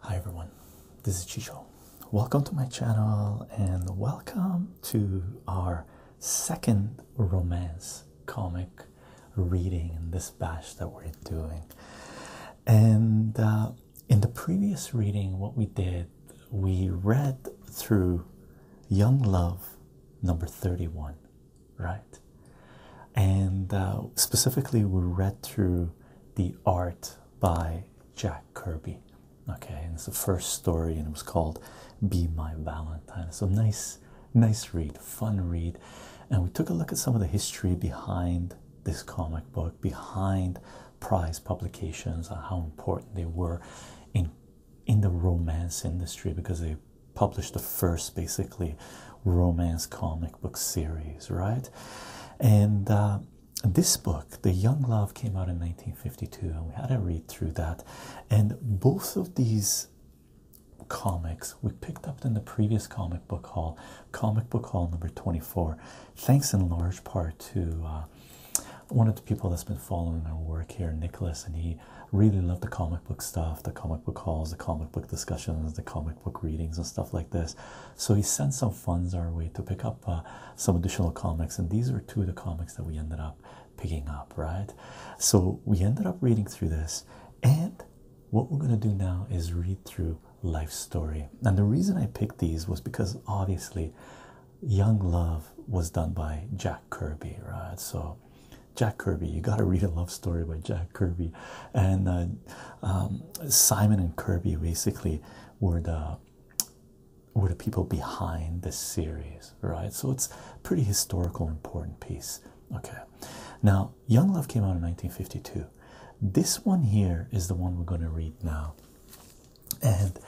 Hi everyone, this is Chicho. Welcome to my channel and welcome to our second romance comic reading in this batch that we're doing. And uh, in the previous reading, what we did, we read through Young Love number 31, right? And uh, specifically, we read through the art by Jack Kirby. Okay, and it's the first story, and it was called Be My Valentine. So nice, nice read, fun read. And we took a look at some of the history behind this comic book, behind prize publications, and uh, how important they were in in the romance industry because they published the first basically romance comic book series, right? Uh, and this book, The Young Love, came out in 1952, and we had to read through that. And both of these comics we picked up in the previous comic book hall, comic book hall number 24, thanks in large part to. Uh, one of the people that's been following our work here, Nicholas, and he really loved the comic book stuff, the comic book halls, the comic book discussions, the comic book readings, and stuff like this. So he sent some funds our way to pick up uh, some additional comics, and these are two of the comics that we ended up picking up, right? So we ended up reading through this, and what we're going to do now is read through Life Story. And the reason I picked these was because obviously Young Love was done by Jack Kirby, right? So Jack Kirby, you got to read a love story by Jack Kirby. And uh, um, Simon and Kirby basically were the were the people behind this series, right? So it's a pretty historical, important piece. Okay, now Young Love came out in 1952. This one here is the one we're going to read now, and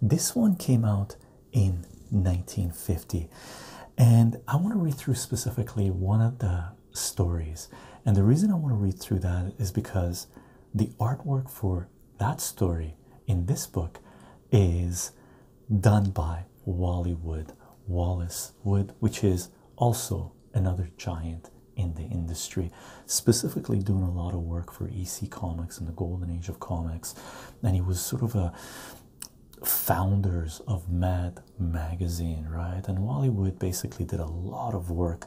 this one came out in 1950. And I want to read through specifically one of the stories. And the reason I want to read through that is because the artwork for that story in this book is done by Wally Wood, Wallace Wood, which is also another giant in the industry, specifically doing a lot of work for EC Comics in the golden age of comics. And he was sort of a founders of Mad Magazine, right? And Wally Wood basically did a lot of work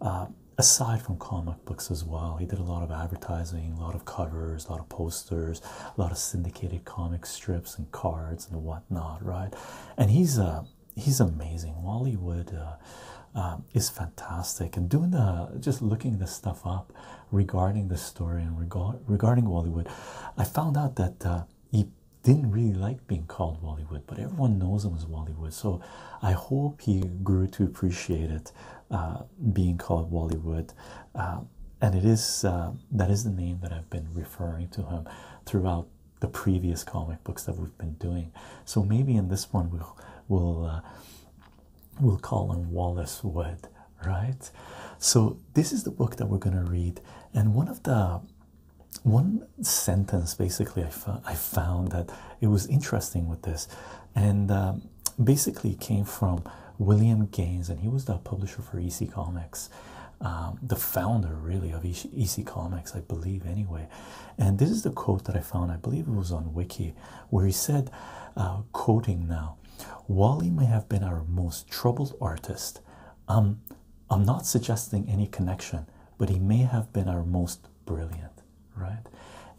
uh, aside from comic books as well. He did a lot of advertising, a lot of covers, a lot of posters, a lot of syndicated comic strips and cards and whatnot, right? And he's a uh, he's amazing. Wally Wood uh, uh, is fantastic. And doing the just looking this stuff up regarding the story and regard regarding Wally Wood, I found out that he didn't really like being called Wally Wood, but everyone knows him as Wally Wood. So I hope he grew to appreciate it uh, being called Wally Wood. Uh, and it is uh, that is the name that I've been referring to him throughout the previous comic books that we've been doing. So maybe in this one we'll we'll we'll call him Wallace Wood, right? So this is the book that we're gonna read, and one of the one sentence basically I, I found that it was interesting with this, and um, basically came from William Gaines, and he was the publisher for EC Comics, um, the founder really of EC Comics, I believe, anyway. And this is the quote that I found, I believe it was on Wiki, where he said, uh, quoting now, Wally may have been our most troubled artist. Um, I'm not suggesting any connection, but he may have been our most brilliant, right?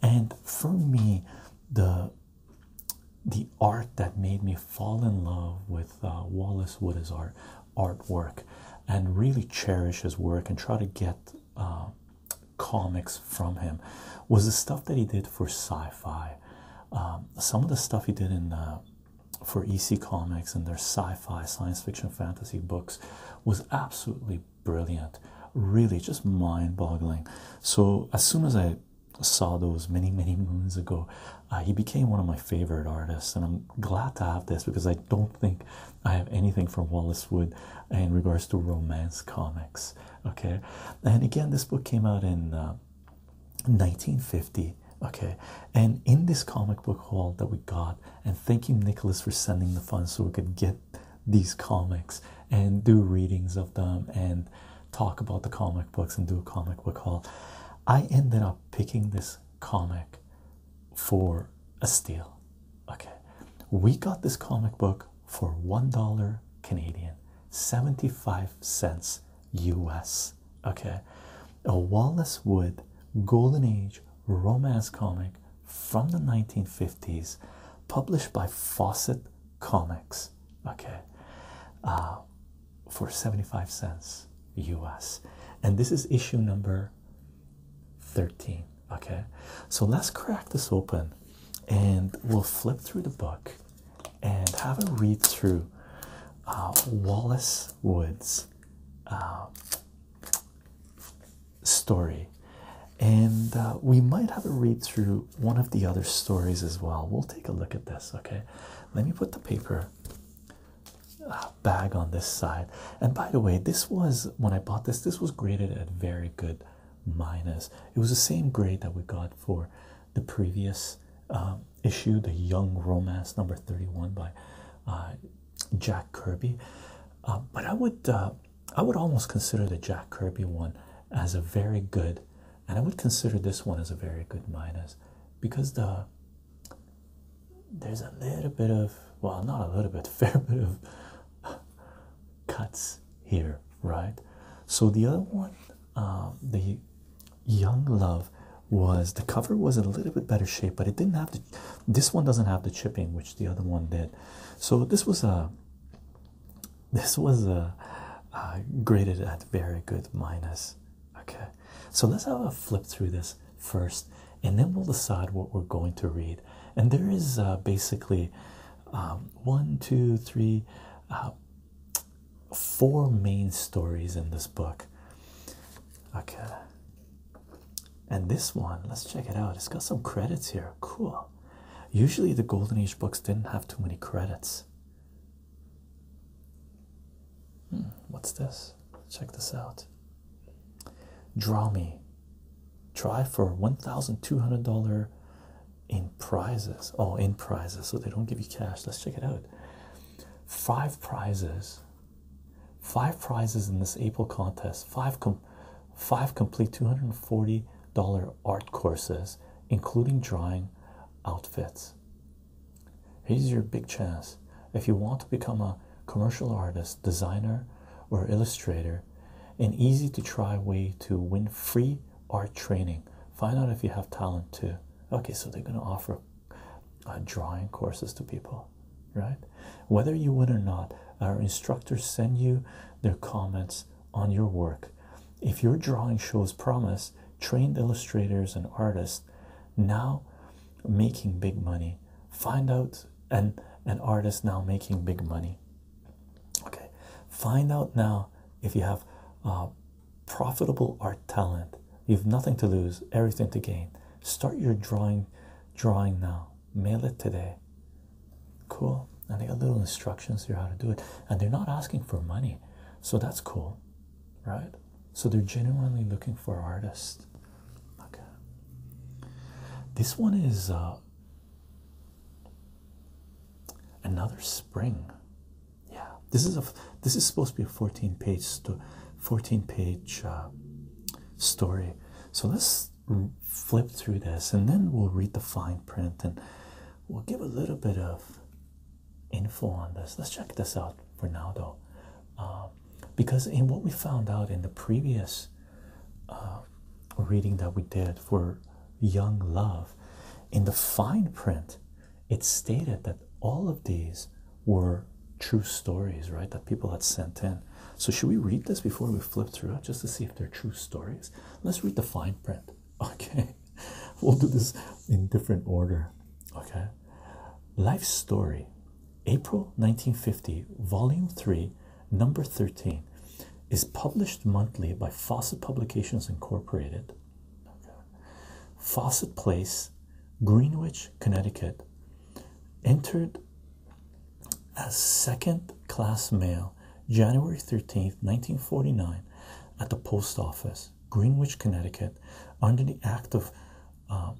And for me, the the art that made me fall in love with uh, Wallace Wood's art artwork and really cherish his work and try to get uh, comics from him was the stuff that he did for sci-fi. Um, some of the stuff he did in uh, for EC Comics and their sci-fi, science fiction, fantasy books was absolutely brilliant, really just mind boggling. So, as soon as I saw those many, many moons ago, uh, he became one of my favorite artists, and I'm glad to have this because I don't think I have anything from Wallace Wood in regards to romance comics. Okay, and again, this book came out in 1950. Uh, okay, and in this comic book hall that we got and thank you Nicholas for sending the funds so we could get these comics and do readings of them and talk about the comic books and do a comic book haul. I ended up picking this comic for a steal. Okay. We got this comic book for $1 Canadian, 75 cents US. Okay. A Wallace Wood Golden Age romance comic from the 1950s published by Fawcett Comics, okay, uh, for 75 cents US. And this is issue number 13, okay. So let's crack this open and we'll flip through the book and have a read through uh, Wallace Woods. Uh, story, and uh, we might have a read through one of the other stories as well. We'll take a look at this, okay? Let me put the paper uh, bag on this side. And by the way, this was when I bought this, this was graded at very good minus. It was the same grade that we got for the previous um, issue, the Young Romance number 31 by uh, Jack Kirby. but I would I would almost consider the Jack Kirby one as a very good, and I would consider this one as a very good minus because the there's a little bit of well, not a little bit, fair bit of cuts here, right? So the other one, um, the Young Love was the cover was a little bit better shape, but it didn't have the this one doesn't have the chipping, which the other one did. So this was a this was a uh, graded at very good minus. Okay, so let's have a flip through this first, and then we'll decide what we're going to read. And there is uh, basically um, one, two, three, uh, four main stories in this book. Okay, and this one, let's check it out. It's got some credits here. Cool. Usually the Golden Age books didn't have too many credits. Hmm, what's this? Check this out. Draw me. Try for $1,200 in prizes. Oh, in prizes. So they don't give you cash. Let's check it out. Five prizes. Five prizes in this April contest. Five com five complete $240 art courses, including drawing outfits. Here's your big chance. If you want to become a commercial artist, designer, or illustrator, an easy to try way to win free art training. Find out if you have talent too. Okay, so they're going to offer uh, drawing courses to people right? Whether you win or not, our instructors send you their comments on your work. If your drawing shows promise, trained illustrators and artists now making big money. Find out and an artist now making big money. Okay, find out now if you have profitable art talent. You have nothing to lose, everything to gain. Start your drawing, drawing now. Mail it today. Cool. And they got little instructions here how to do it. And they're not asking for money. So that's cool. Right? So they're genuinely looking for artists. Okay. This one is uh, another spring. Yeah. This is a this is supposed to be a 14 page 14 page uh, story. So let's flip through this and then we'll read the fine print and we'll give a little bit of info on this. Let's check this out for now, though. Um, because in what we found out in the previous uh, reading that we did for Young Love, in the fine print, it stated that all of these were true stories, right? That people had sent in. So, should we read this before we flip through it just to see if they're true stories? Let's read the fine print, okay? We'll do this in different order, okay? Life Story, April 1950, Volume 3, Number 13, is published monthly by Fawcett Publications Incorporated, Fawcett Place, Greenwich, Connecticut. Entered as second class mail January 13th, 1949, at the post office, Greenwich, Connecticut, under the Act of um,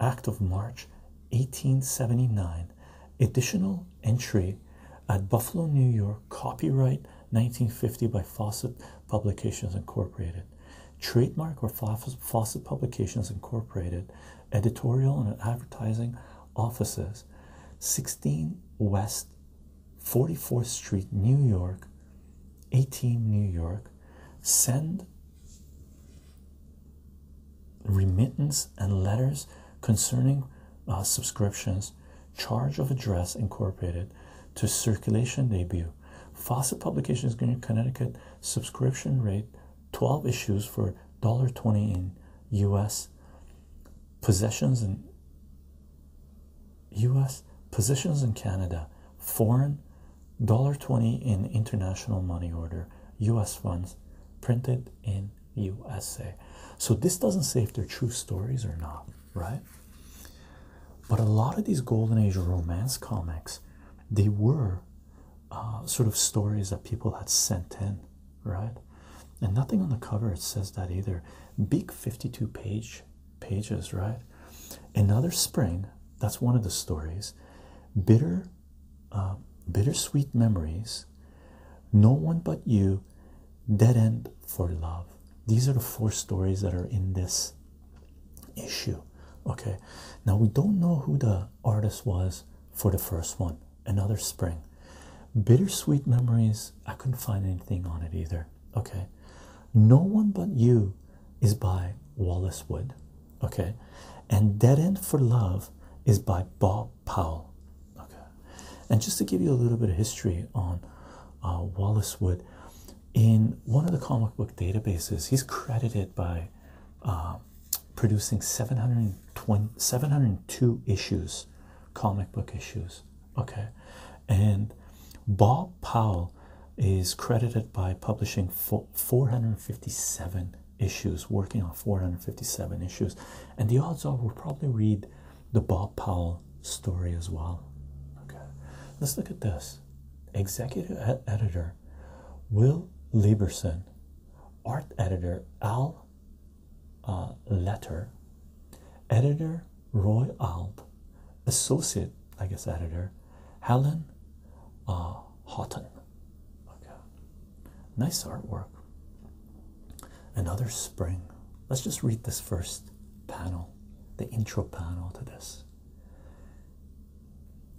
Act of March 1879, additional entry at Buffalo, New York, copyright 1950 by Fawcett Publications Incorporated, trademark or Fawcett Publications Incorporated, editorial and advertising offices, 16 West 44th Street, New York, 18 New York. Send remittance and letters concerning uh, subscriptions. Charge of Address Incorporated to circulation debut. Fawcett Publications, Connecticut subscription rate 12 issues for $1.20 in US Possessions in US, possessions in Canada, foreign, dollar twenty in international money order, US funds printed in USA. So this doesn't say if they're true stories or not, right? But a lot of these golden age romance comics, they were uh, sort of stories that people had sent in right? And nothing on the cover says that either. Big 52 page pages, right? Another spring, that's one of the stories. Bitter, uh, bittersweet memories. No one but you. Dead end for love. These are the four stories that are in this issue. Okay, now we don't know who the artist was for the first one another spring. Bittersweet memories, I couldn't find anything on it either. Okay, No One But You is by Wallace Wood. Okay, and Dead End for Love is by Bob Powell. Okay, and just to give you a little bit of history on uh, Wallace Wood, in one of the comic book databases, he's credited by um, producing 720, 702 issues, comic book issues. Okay, and Bob Powell is credited by publishing 457 issues, working on 457 issues, and the odds are we'll probably read the Bob Powell story as well. Okay, let's look at this. Executive editor Will Lieberson, art editor Al uh, letter. Editor Roy Alb, associate, I guess, editor Helen uh, Houghton. Okay, nice artwork. Another spring. Let's just read this first panel, the intro panel to this.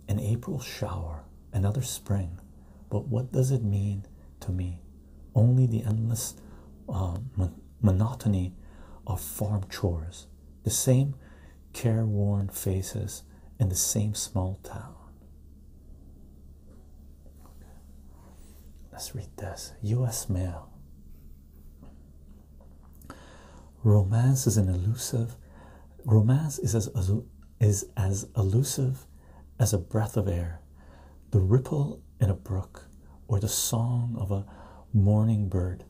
An April shower, another spring, but what does it mean to me. Only the endless uh, monotony of farm chores, the same careworn faces in the same small town. Let's read this U.S. Mail. Romance is an elusive. Romance is as is as elusive as a breath of air, the ripple in a brook, or the song of a morning bird.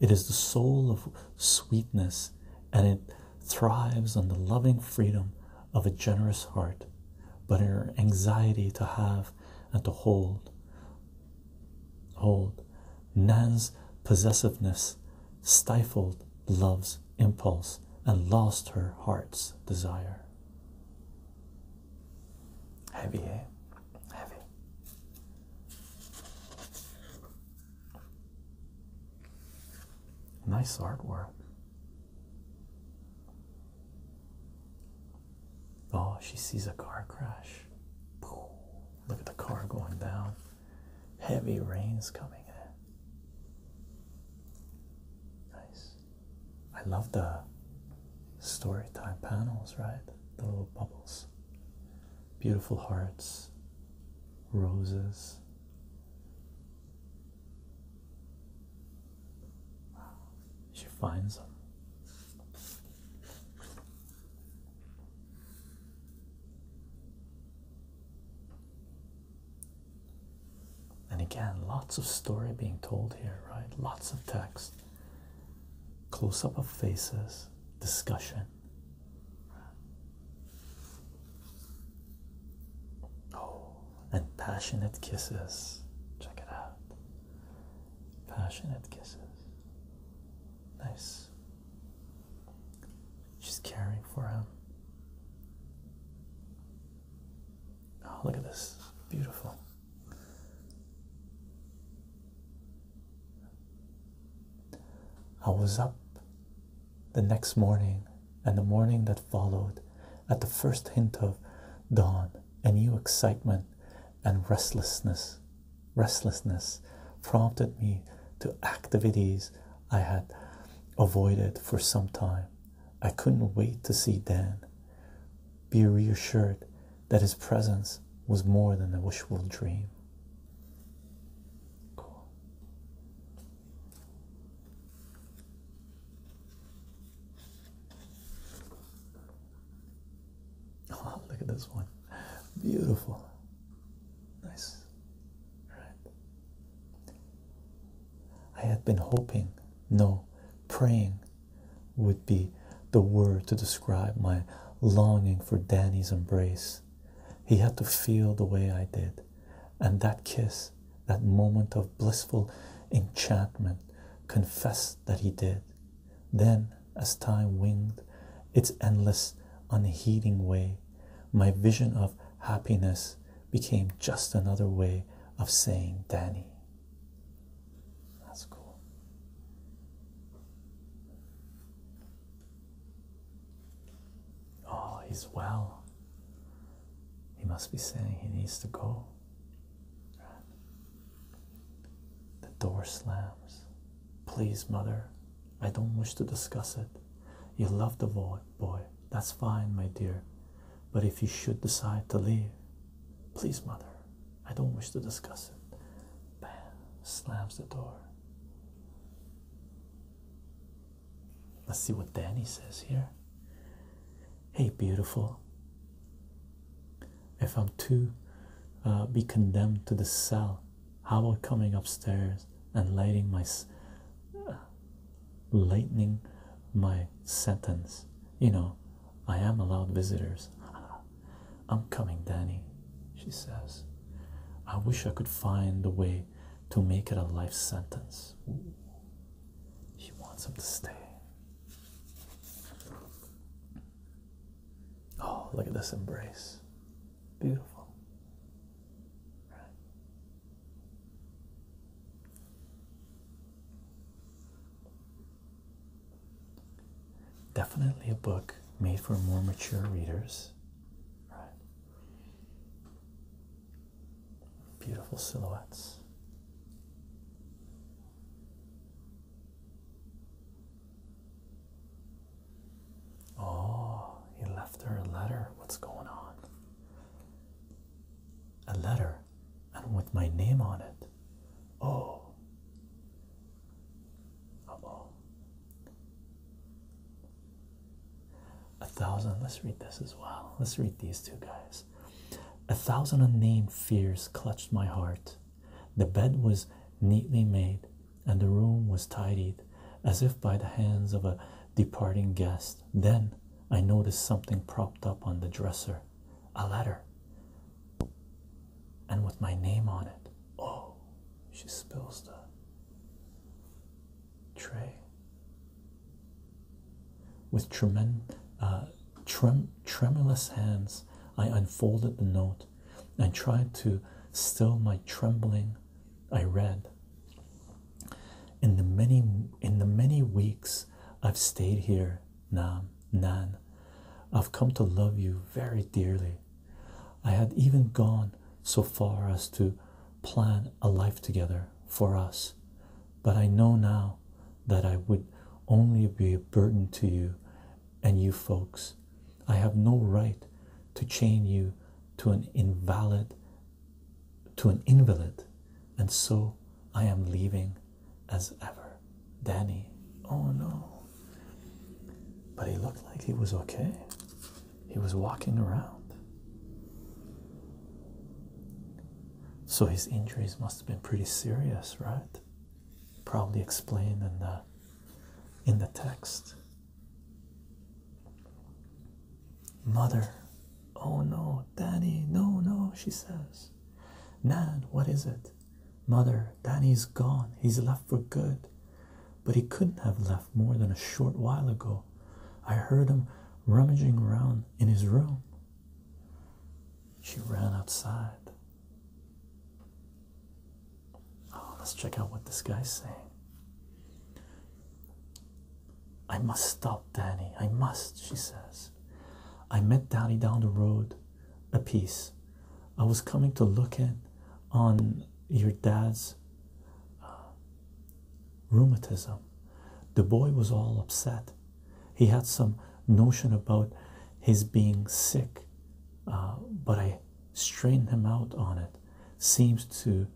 It is the soul of sweetness, and it thrives on the loving freedom of a generous heart. But her anxiety to have and to hold, hold, Nan's possessiveness stifled love's impulse and lost her heart's desire. Heavy, eh? Heavy. Nice artwork. Oh, she sees a car crash. Look at the car going down. Heavy rain's coming in. Nice. I love the story time panels, right? The little bubbles. Beautiful hearts, roses. She finds them. And again, lots of story being told here, right? Lots of text, close up of faces, discussion. Oh, and passionate kisses. Check it out. Passionate kisses. Nice. She's caring for him. Oh, look at this. Beautiful. I was up the next morning and the morning that followed at the first hint of dawn, a new excitement and restlessness. Restlessness prompted me to activities I had avoided for some time. I couldn't wait to see Dan be reassured that his presence was more than a wishful dream. Cool. Oh, look at this one. Beautiful. Nice. Right. I had been hoping, no, praying would be the word to describe my longing for Danny's embrace. He had to feel the way I did, and that kiss, that moment of blissful enchantment, confessed that he did. Then, as time winged its endless, unheeding way, my vision of happiness became just another way of saying Danny. That's cool. Oh, he's well. He must be saying he needs to go. The door slams. Please, mother, I don't wish to discuss it. You love the void, boy. That's fine, my dear. But if you should decide to leave, please, mother, I don't wish to discuss it. Bam, slams the door. Let's see what Danny says here. Hey, beautiful. If I'm to uh, be condemned to the cell, how about coming upstairs and lighting my uh, lightening my sentence. You know, I am allowed visitors. I'm coming, Danny, she says. I wish I could find a way to make it a life sentence. She wants him to stay. Oh, look at this embrace. Beautiful. Right. Definitely a book made for more mature readers. Right. Beautiful silhouettes. Oh, he left her a letter. What's going on? a letter and with my name on it. Oh. oh A thousand. Let's read this as well. Let's read these two guys. A thousand unnamed fears clutched my heart. The bed was neatly made, and the room was tidied as if by the hands of a departing guest. Then I noticed something propped up on the dresser a letter and with my name on it. Oh, she spills the tray with tremen, uh, trem tremulous hands. I unfolded the note and tried to still my trembling. I read in the many in the many weeks I've stayed here Nam, Nan. I've come to love you very dearly. I had even gone so far as to plan a life together for us, but I know now that I would only be a burden to you and you folks. I have no right to chain you to an invalid to an invalid, and so I am leaving as ever. Danny, oh no. But he looked like he was okay. He was walking around. So his injuries must have been pretty serious, right? Probably explained in the in the text. Mother, oh no, Danny, no, no, she says cries. Nan, what is it? Mother, Danny's gone. He's left for good. But he couldn't have left more than a short while ago. I heard him rummaging around in his room. She ran outside. Oh, let's check out what this guy's saying. I must stop Danny. I must, she says. I met Daddy down the road a piece. I was coming to look in on your dad's uh, rheumatism. The boy was all upset. He had some notion about his being sick, uh, but I strained him out on it. Seems to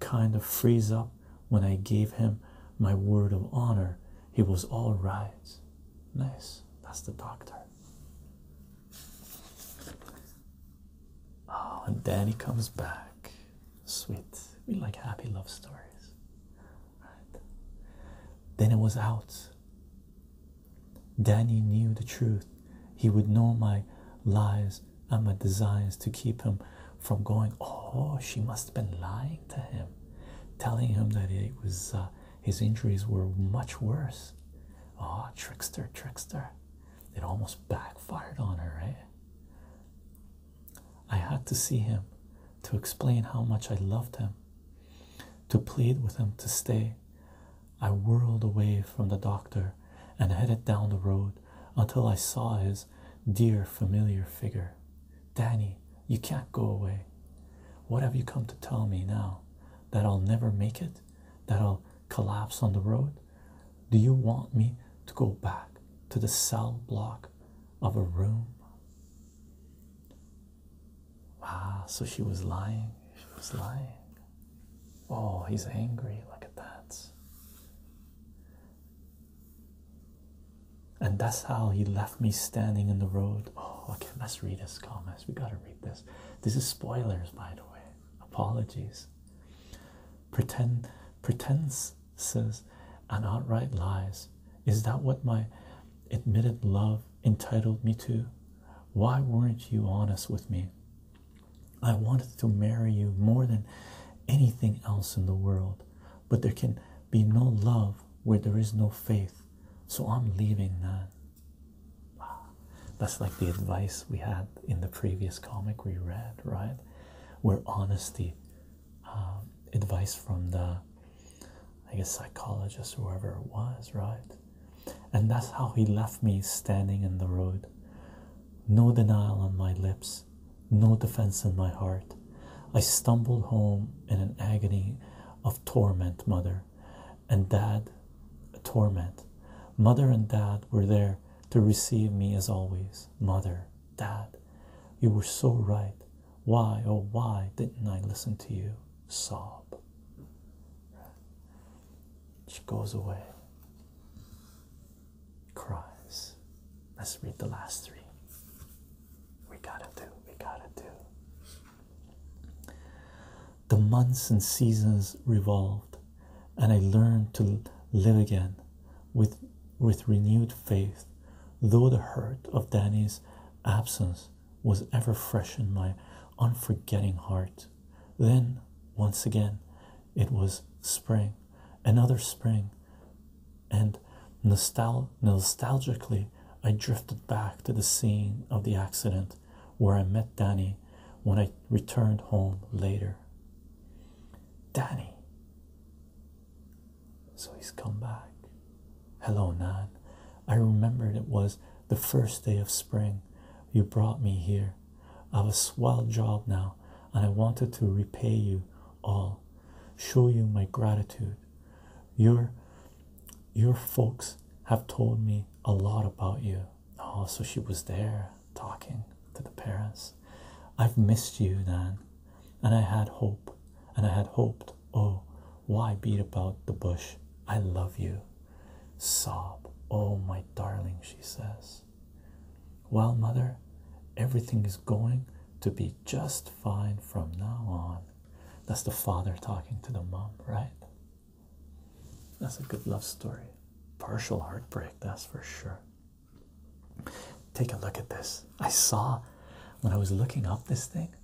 kind of freeze up when I gave him my word of honor he was all right. Nice. That's the doctor. Oh, and Danny comes back. Sweet. We like happy love stories. Right. Then it was out. Danny knew the truth. He would know my lies and my designs to keep him from going, Oh, she must have been lying to him telling him that it was uh, his injuries were much worse. Oh, trickster, trickster. It almost backfired on her, right? Eh? I had to see him to explain how much I loved him, to plead with him to stay. I whirled away from the doctor and headed down the road until I saw his dear familiar figure. Danny, you can't go away. What have you come to tell me now? That I'll never make it? That I'll collapse on the road? Do you want me to go back to the cell block of a room? Ah, so she was lying. She was lying. Oh, he's angry. Look at that. And that's how he left me standing in the road. Oh, okay, let's read this, comments. We gotta read this. This is spoilers, by the way. Apologies. Pretend pretends says and outright lies. Is that what my admitted love entitled me to? Why weren't you honest with me? I wanted to marry you more than anything else in the world but there can be no love where there is no faith. So I'm leaving now. That's like the advice we had in the previous comic we read, right? Where honesty, um, advice from the, I guess, psychologist, whoever it was, right? And that's how he left me standing in the road. No denial on my lips, no defense in my heart. I stumbled home in an agony of torment, mother and dad. a Torment. Mother and dad were there to receive me as always. Mother, dad, you were so right. Why, oh, why didn't I listen to you? Sob. She goes away, cries. Let's read the last three. We gotta do, we gotta do. The months and seasons revolved, and I learned to live again with, with renewed faith, though the hurt of Danny's absence was ever fresh in my unforgetting heart. Then, once again, it was spring, another spring, and nostalgically I drifted back to the scene of the accident where I met Danny when I returned home later. Danny. So he's come back. Hello, Nan. I remembered it was the first day of spring. You brought me here. I have a swell job now, and I wanted to repay you all, show you my gratitude. you your folks have told me a lot about you. Oh, so she was there talking to the parents. I've missed you then, and I had hope, and I had hoped. Oh, why beat about the bush? I love you. Sob. Oh, my darling, she says. Well, mother, everything is going to be just fine from now on. That's the father talking to the mom, right? That's a good love story. Partial heartbreak, that's for sure. Take a look at this. I saw when I was looking up this thing,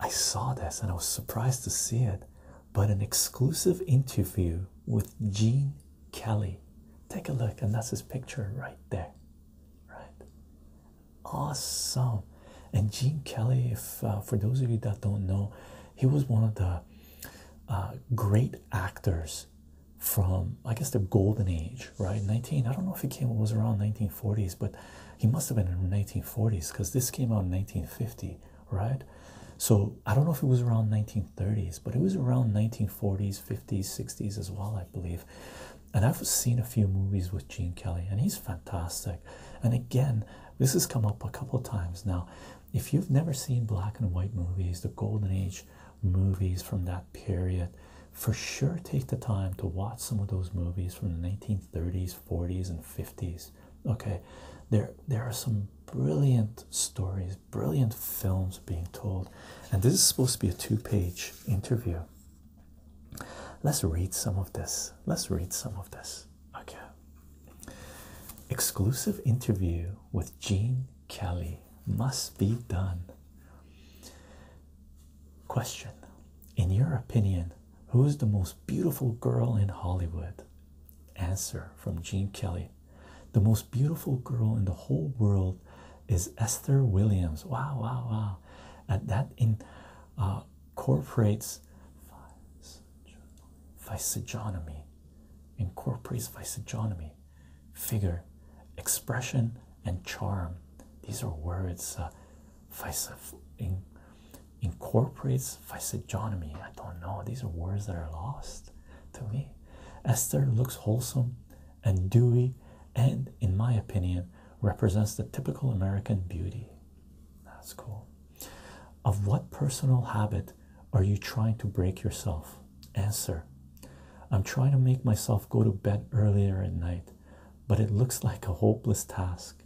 I saw this and I was surprised to see it. But an exclusive interview with Gene Kelly. Take a look, and that's his picture right there. Right? Awesome. And Gene Kelly, if uh, for those of you that don't know, he was one of the uh, great actors from I guess the golden age, right? 19. I don't know if he came was around 1940s, but he must have been in 1940s because this came out in 1950, right? So I don't know if it was around 1930s, but it was around 1940s, 50s, 60s as well, I believe and I've seen a few movies with Gene Kelly, and he's fantastic. And again, this has come up a couple times now. If you've never seen black and white movies, the golden age movies from that period, for sure take the time to watch some of those movies from the 1930s, 40s, and 50s. Okay, there there are some brilliant stories, brilliant films being told, and this is supposed to be a two-page interview. Let's read some of this. Let's read some of this. Okay. Exclusive interview with Gene Kelly must be done. Question In your opinion, who is the most beautiful girl in Hollywood? Answer from Gene Kelly The most beautiful girl in the whole world is Esther Williams. Wow, wow, wow. At that in uh, incorporates physiognomy, incorporates physiognomy, figure, expression, and charm. These are words. Uh, incorporates physiognomy. I don't know. These are words that are lost to me. Esther looks wholesome and dewy, and in my opinion, represents the typical American beauty. That's cool. Of what personal habit are you trying to break yourself? Answer I'm trying to make myself go to bed earlier at night, but it looks like a hopeless task.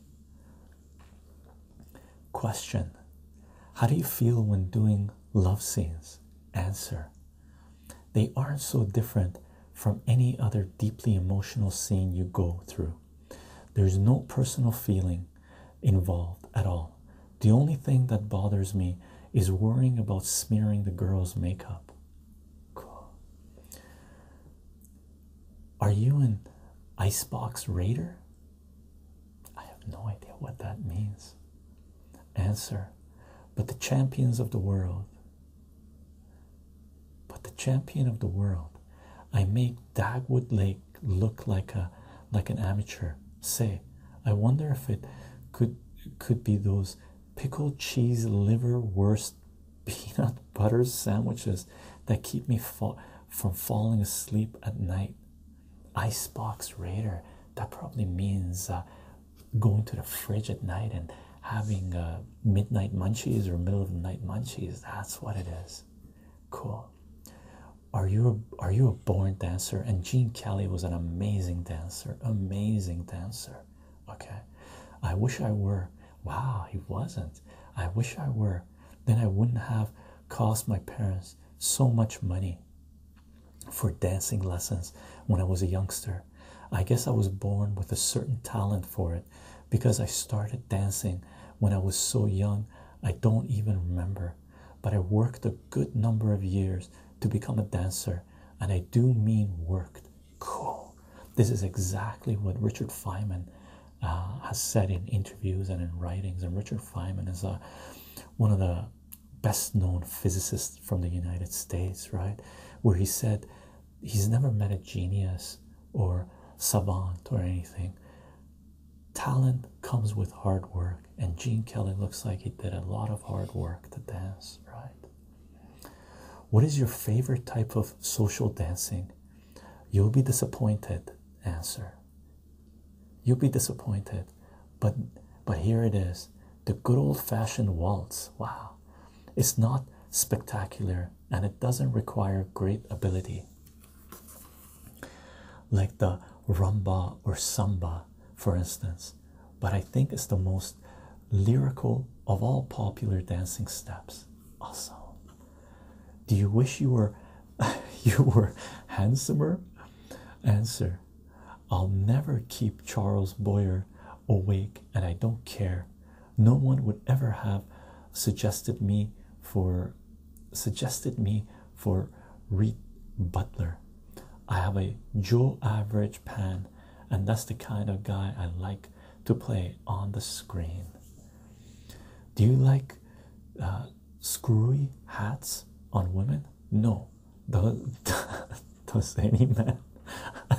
Question How do you feel when doing love scenes? Answer They aren't so different from any other deeply emotional scene you go through. There's no personal feeling involved at all. The only thing that bothers me is worrying about smearing the girl's makeup. Cool. Are you an icebox raider? I have no idea what that means. Answer. But the champions of the world but the champion of the world, I make Dagwood Lake look like a like an amateur. Say, I wonder if it could could be those pickled cheese liver worst, peanut butter sandwiches that keep me fa from falling asleep at night. Icebox Raider. That probably means uh, going to the fridge at night and having a uh, midnight munchies or middle of the night munchies. That's what it is. Cool. Are you a, are you a born dancer? And Gene Kelly was an amazing dancer, amazing dancer. Okay, I wish I were. Wow, he wasn't. I wish I were. Then I wouldn't have cost my parents so much money for dancing lessons when I was a youngster. I guess I was born with a certain talent for it because I started dancing when I was so young, I don't even remember. But I worked a good number of years to become a dancer, and I do mean worked. Cool. This is exactly what Richard Feynman uh, has said in interviews and in writings. And Richard Feynman is a, uh, one of the best known physicists from the United States, right? Where he said he's never met a genius or savant or anything. Talent comes with hard work, and Gene Kelly looks like he did a lot of hard work to dance, right? What is your favorite type of social dancing? You'll be disappointed. Answer. You'll be disappointed, but but here it is, the good old-fashioned waltz. Wow, it's not spectacular and it doesn't require great ability like the rumba or samba, for instance, but I think it's the most lyrical of all popular dancing steps. Awesome. Do you wish you were you were handsomer? Answer. I'll never keep Charles Boyer awake and I don't care no one would ever have suggested me for suggested me for Reed Butler. I have a Joe average pan, and that's the kind of guy I like to play on the screen. Do you like uh, screwy hats on women? No, does, does any man?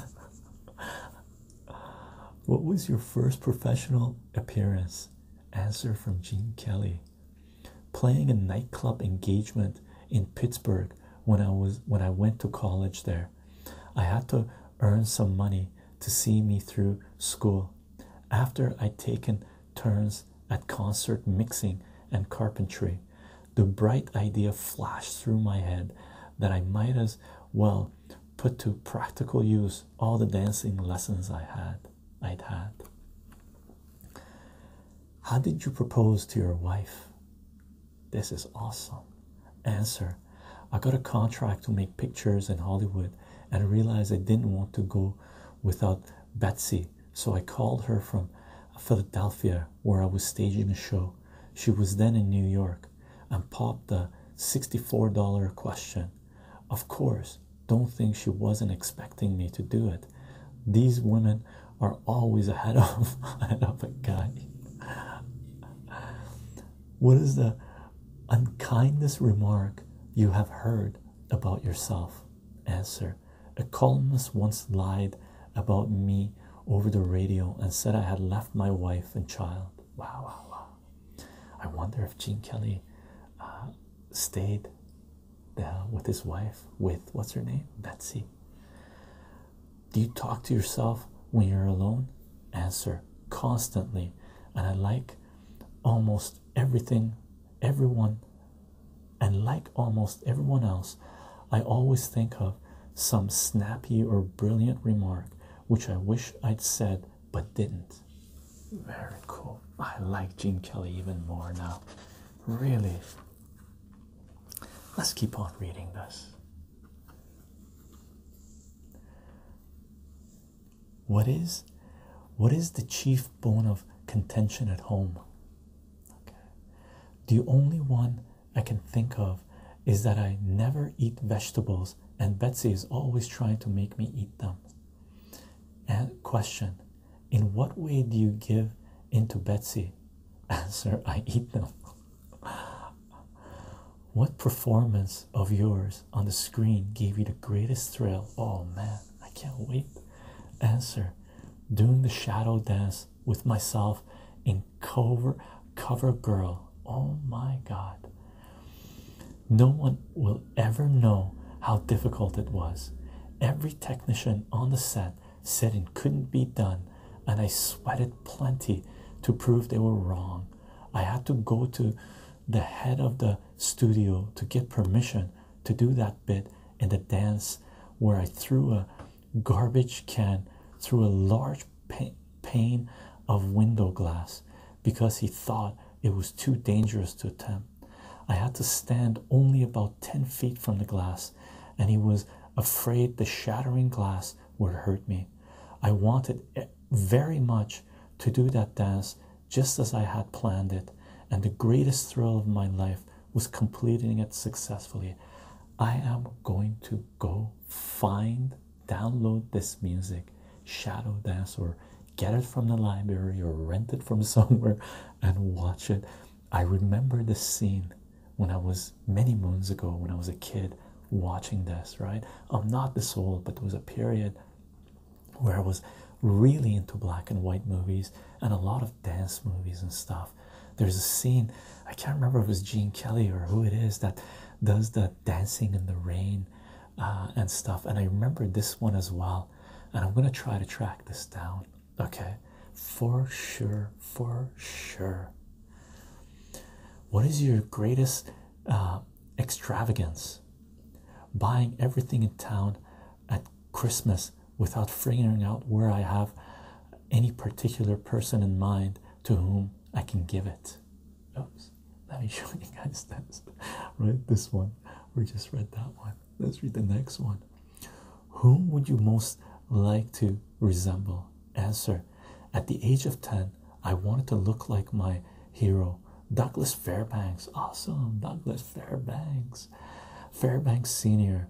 What was your first professional appearance? Answer from Gene Kelly. Playing a nightclub engagement in Pittsburgh when I was when I went to college there. I had to earn some money to see me through school. After I'd taken turns at concert mixing and carpentry, the bright idea flashed through my head that I might as well put to practical use all the dancing lessons I had I'd had. How did you propose to your wife? This is awesome. Answer I got a contract to make pictures in Hollywood and realized I didn't want to go without Betsy, so I called her from Philadelphia where I was staging a show. She was then in New York and popped the $64 question. Of course, don't think she wasn't expecting me to do it. These women are always ahead of, ahead of a guy. What is the unkindest remark you have heard about yourself? Answer A columnist once lied about me over the radio and said I had left my wife and child. Wow, wow, wow. I wonder if Gene Kelly uh, stayed there uh, with his wife, with what's her name? Betsy. Do you talk to yourself when you're alone? Answer constantly. And I like almost everything, everyone, and like almost everyone else, I always think of some snappy or brilliant remark which I wish I'd said but didn't. Very cool. I like Gene Kelly even more now. Really. Let's keep on reading this. What is what is the chief bone of contention at home? The only one I can think of is that I never eat vegetables and Betsy is always trying to make me eat them. question In what way do you give into Betsy? Answer I eat them. what performance of yours on the screen gave you the greatest thrill? Oh man, I can't wait. Answer Doing the shadow dance with myself in cover cover girl. Oh my god. No one will ever know how difficult it was. Every technician on the set said it couldn't be done, and I sweated plenty to prove they were wrong. I had to go to the head of the studio to get permission to do that bit in the dance where I threw a garbage can through a large pane of window glass because he thought it was too dangerous to attempt. I had to stand only about 10 feet from the glass, and he was afraid the shattering glass would hurt me. I wanted very much to do that dance just as I had planned it, and the greatest thrill of my life was completing it successfully. I am going to go find download this music, shadow dance, or get it from the library or rent it from somewhere and watch it. I remember the scene when I was many moons ago when I was a kid watching this, right? I'm not the old, but there was a period where I was really into black and white movies and a lot of dance movies and stuff. There's a scene, I can't remember if it was Gene Kelly or who it is that does the dancing in the rain uh, and stuff. And I remember this one as well. And I'm gonna try to track this down, okay? For sure, for sure. What is your greatest uh, extravagance? Buying everything in town at Christmas without figuring out where I have any particular person in mind to whom I can give it let me show you guys this right this one we just read that one let's read the next one whom would you most like to resemble answer at the age of 10 i wanted to look like my hero douglas fairbanks awesome douglas fairbanks fairbanks senior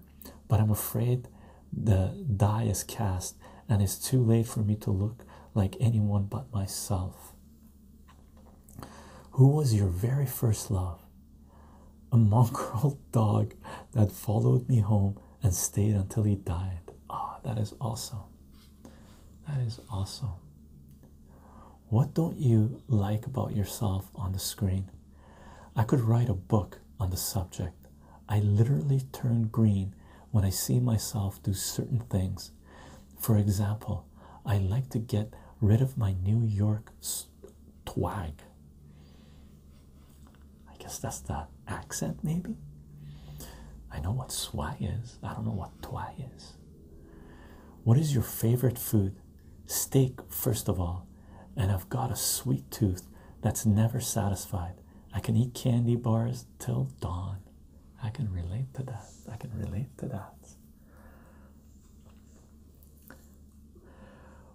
but i'm afraid the die is cast and it's too late for me to look like anyone but myself who was your very first love? A mongrel dog that followed me home and stayed until he died. Ah, that is awesome. That is awesome. What don't you like about yourself on the screen? I could write a book on the subject. I literally turn green when I see myself do certain things. For example, I like to get rid of my New York swag. I guess that's the accent, maybe. I know what swag is, I don't know what twag is. What is your favorite food? Steak, first of all. And I've got a sweet tooth that's never satisfied. I can eat candy bars till dawn. I can relate to that. I can relate to that.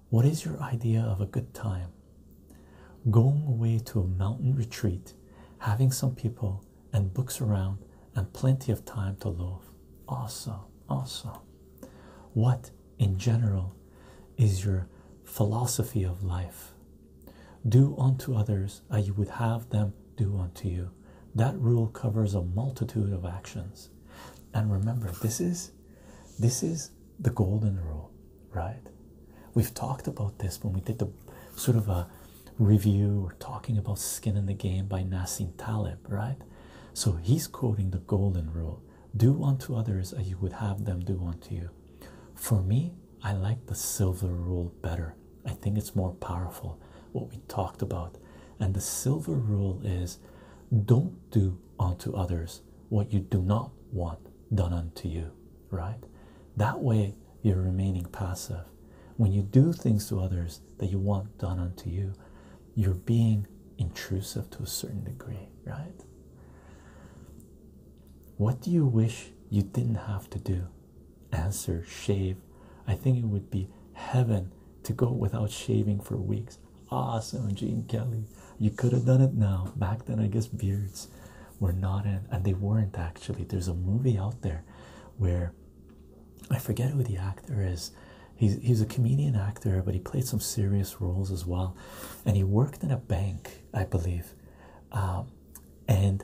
What is your idea of a good time? Going away to a mountain retreat, having some people and books around, and plenty of time to love. Awesome, awesome. What, in general, is your philosophy of life? Do unto others as you would have them do unto you. That rule covers a multitude of actions. And remember, this is this is the golden rule, right? We've talked about this when we did the sort of a review or talking about skin in the game by Nasim Taleb, right? So he's quoting the golden rule. Do unto others as you would have them do unto you. For me, I like the silver rule better. I think it's more powerful what we talked about. And the silver rule is don't do unto others what you do not want done unto you, right? That way you're remaining passive. When you do things to others that you want done unto you, you're being intrusive to a certain degree, right? What do you wish you didn't have to do? Answer shave. I think it would be heaven to go without shaving for weeks. Awesome, Gene Kelly. You could have done it now. Back then, I guess beards were not in, and they weren't actually. There's a movie out there where I forget who the actor is. He's, he's a comedian actor, but he played some serious roles as well. And he worked in a bank, I believe. Um, and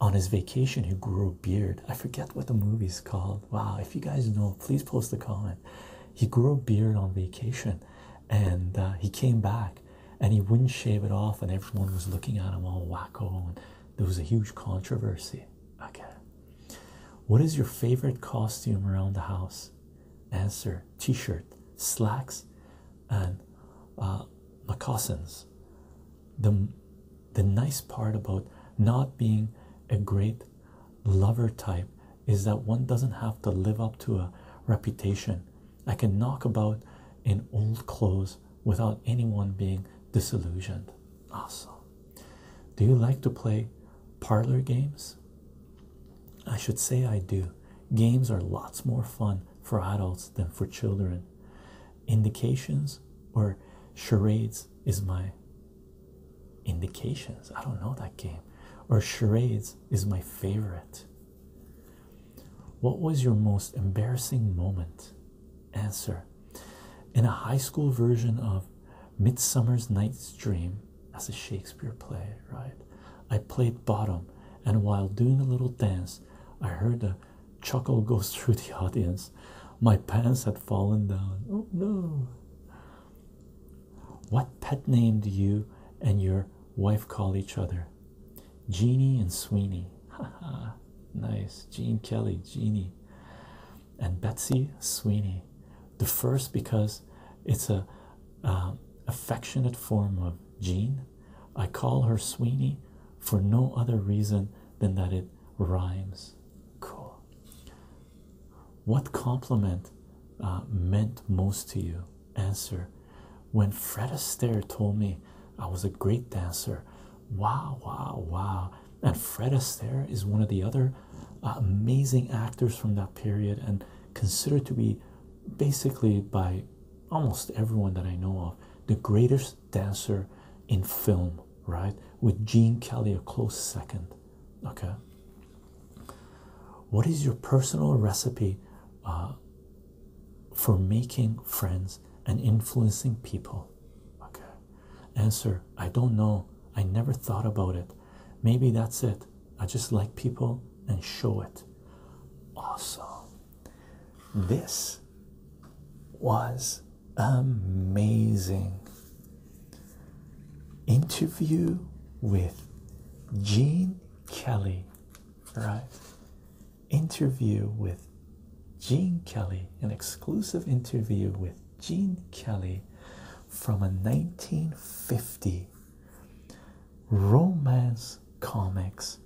on his vacation he grew a beard. I forget what the movie's called. Wow, if you guys know, please post a comment. He grew a beard on vacation and uh, he came back and he wouldn't shave it off, and everyone was looking at him all wacko, and there was a huge controversy. Okay. What is your favorite costume around the house? Answer T shirt, slacks, and uh, moccasins the the nice part about not being a great lover type is that one doesn't have to live up to a reputation. I can knock about in old clothes without anyone being disillusioned. Awesome. Do you like to play parlor games? I should say I do. Games are lots more fun for adults than for children indications or charades is my indications i don't know that game or charades is my favorite what was your most embarrassing moment answer in a high school version of midsummer's night's dream as a shakespeare play right i played bottom and while doing a little dance i heard the Chuckle goes through the audience. My pants had fallen down. Oh no. What pet name do you and your wife call each other? Jeannie and Sweeney. Haha, nice. Jean Kelly, Jeannie. And Betsy Sweeney. The first because it's a uh, affectionate form of Jean. I call her Sweeney for no other reason than that it rhymes. Cool. What compliment uh, meant most to you? Answer. When Fred Astaire told me I was a great dancer, wow, wow, wow. And Fred Astaire is one of the other uh, amazing actors from that period and considered to be basically by almost everyone that I know of the greatest dancer in film, right? With Gene Kelly a close second. Okay. What is your personal recipe uh, for making friends and influencing people? Okay. Answer I don't know. I never thought about it. Maybe that's it. I just like people and show it. Awesome. This was amazing interview with Gene Kelly, right? Interview with Gene Kelly, an exclusive interview with Gene Kelly from a 1950 romance comics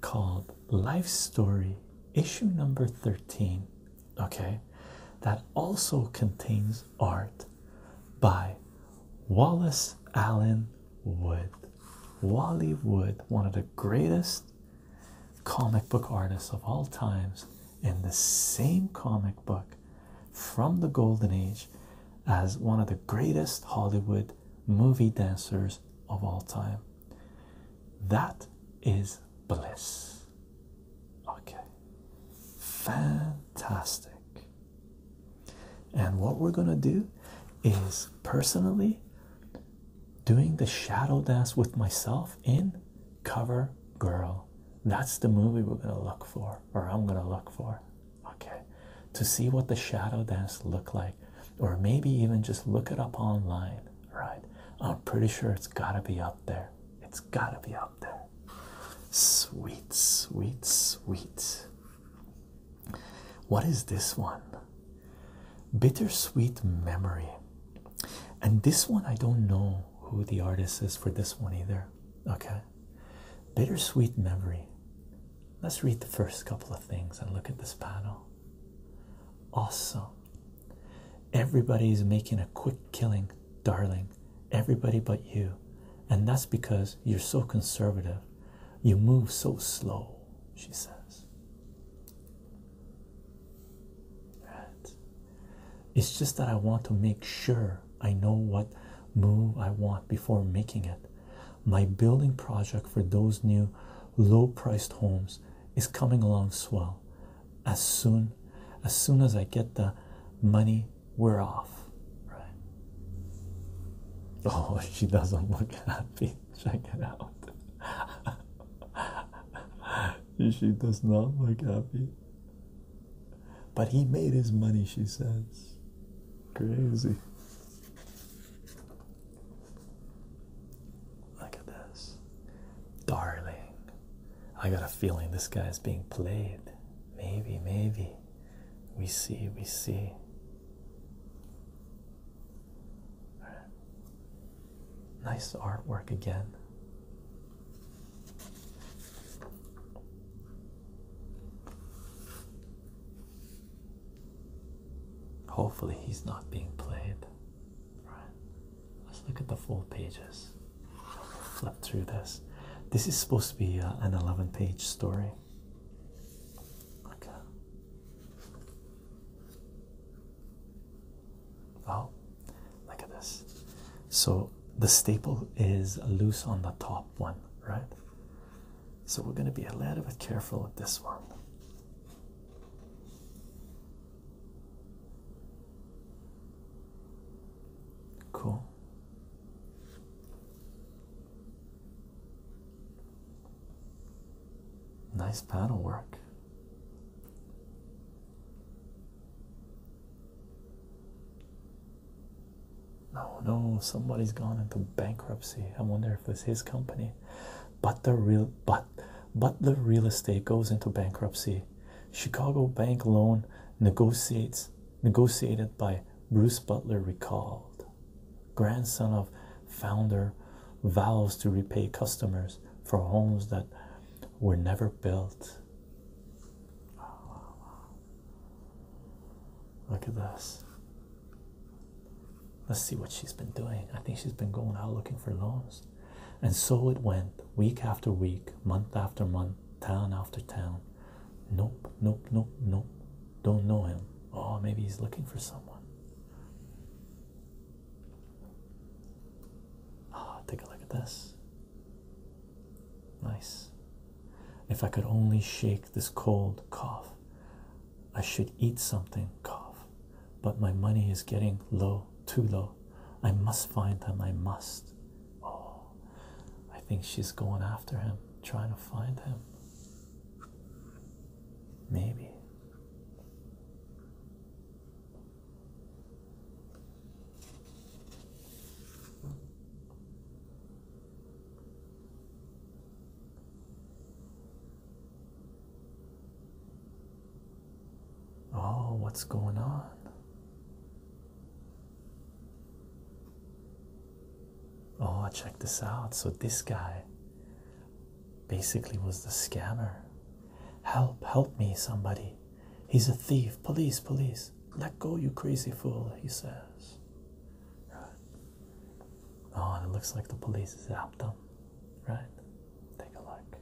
called Life Story, issue number 13 okay, that also contains art by Wallace Allen Wood. Wally Wood, one of the greatest comic book artists of all times, in the same comic book from the Golden Age as one of the greatest Hollywood movie dancers of all time. That is bliss. Okay, fantastic. And what we're gonna do is personally doing the shadow dance with myself in Cover Girl. That's the movie we're gonna look for, or I'm gonna look for. Okay, to see what the shadow dance look like, or maybe even just look it up online right? I'm pretty sure it's gotta be up there. It's gotta be up there. Sweet, sweet, sweet. What is this one? Bittersweet Memory. And this one, I don't know who the artist is for this one either. Okay. Bittersweet Memory. Let's read the first couple of things and look at this panel. Awesome. Everybody is making a quick killing, darling. Everybody but you. And that's because you're so conservative. You move so slow, she says. Right. It's just that I want to make sure I know what move I want before making it. My building project for those new low priced homes is coming along swell as soon as soon as i get the money we're off right oh she doesn't look happy check it out she does not look happy but he made his money she says crazy Look at this. Darling. I got a feeling this guy is being played. Maybe, maybe. We see, we see. Nice artwork again. Hopefully, he's not being played. Right. Let's look at the four pages. Flip through this. This is supposed to be an 11 page story. Okay. Oh, look at this. So the staple is loose on the top one, right? So we're going to be a little bit careful with this one. Cool. Nice panel work. No, no, somebody's gone into bankruptcy. I wonder if it's his company. But the real but Butler real estate goes into bankruptcy. Chicago bank loan negotiated negotiated by Bruce Butler recalled. Grandson of founder vows to repay customers for homes that were never built. Look at this. Let's see what she's been doing. I think she's been going out looking for loans. And so it went week after week, month after month, town after town. Nope, nope, nope, nope. Don't know him. Oh, maybe he's looking for someone. Ah, take a look at this. Nice. If I could only shake this cold cough, I should eat something, cough. But my money is getting low too low. I must find him. I must. Oh, I think she's going after him, trying to find him. Maybe. Oh, what's going on? Oh, check this out. So, this guy basically was the scammer. Help, help me, somebody. He's a thief. Police, police. Let go, you crazy fool, he says. Oh, and it looks like the police is out them, Right? Take a look.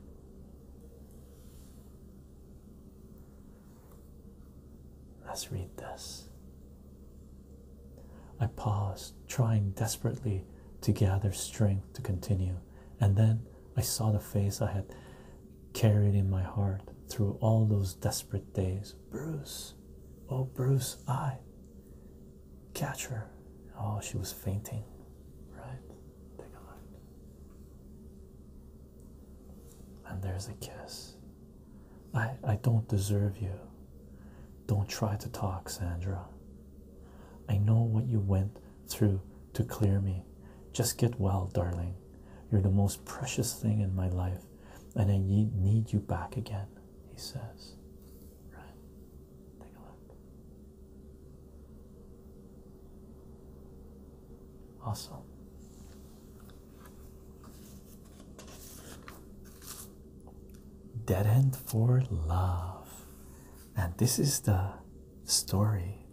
Let's read this. I paused, trying desperately to gather strength to continue, and then I saw the face I had carried in my heart through all those desperate days. Bruce, oh, Bruce, I catch her. Oh, she was fainting, right? Take a look. And there's a kiss. I I don't deserve you. Don't try to talk, Sandra. I know what you went through to clear me. Just get well, darling. You're the most precious thing in my life, and I need you back again, he says. Right? Take a look. Awesome. Dead End for Love. And this is the story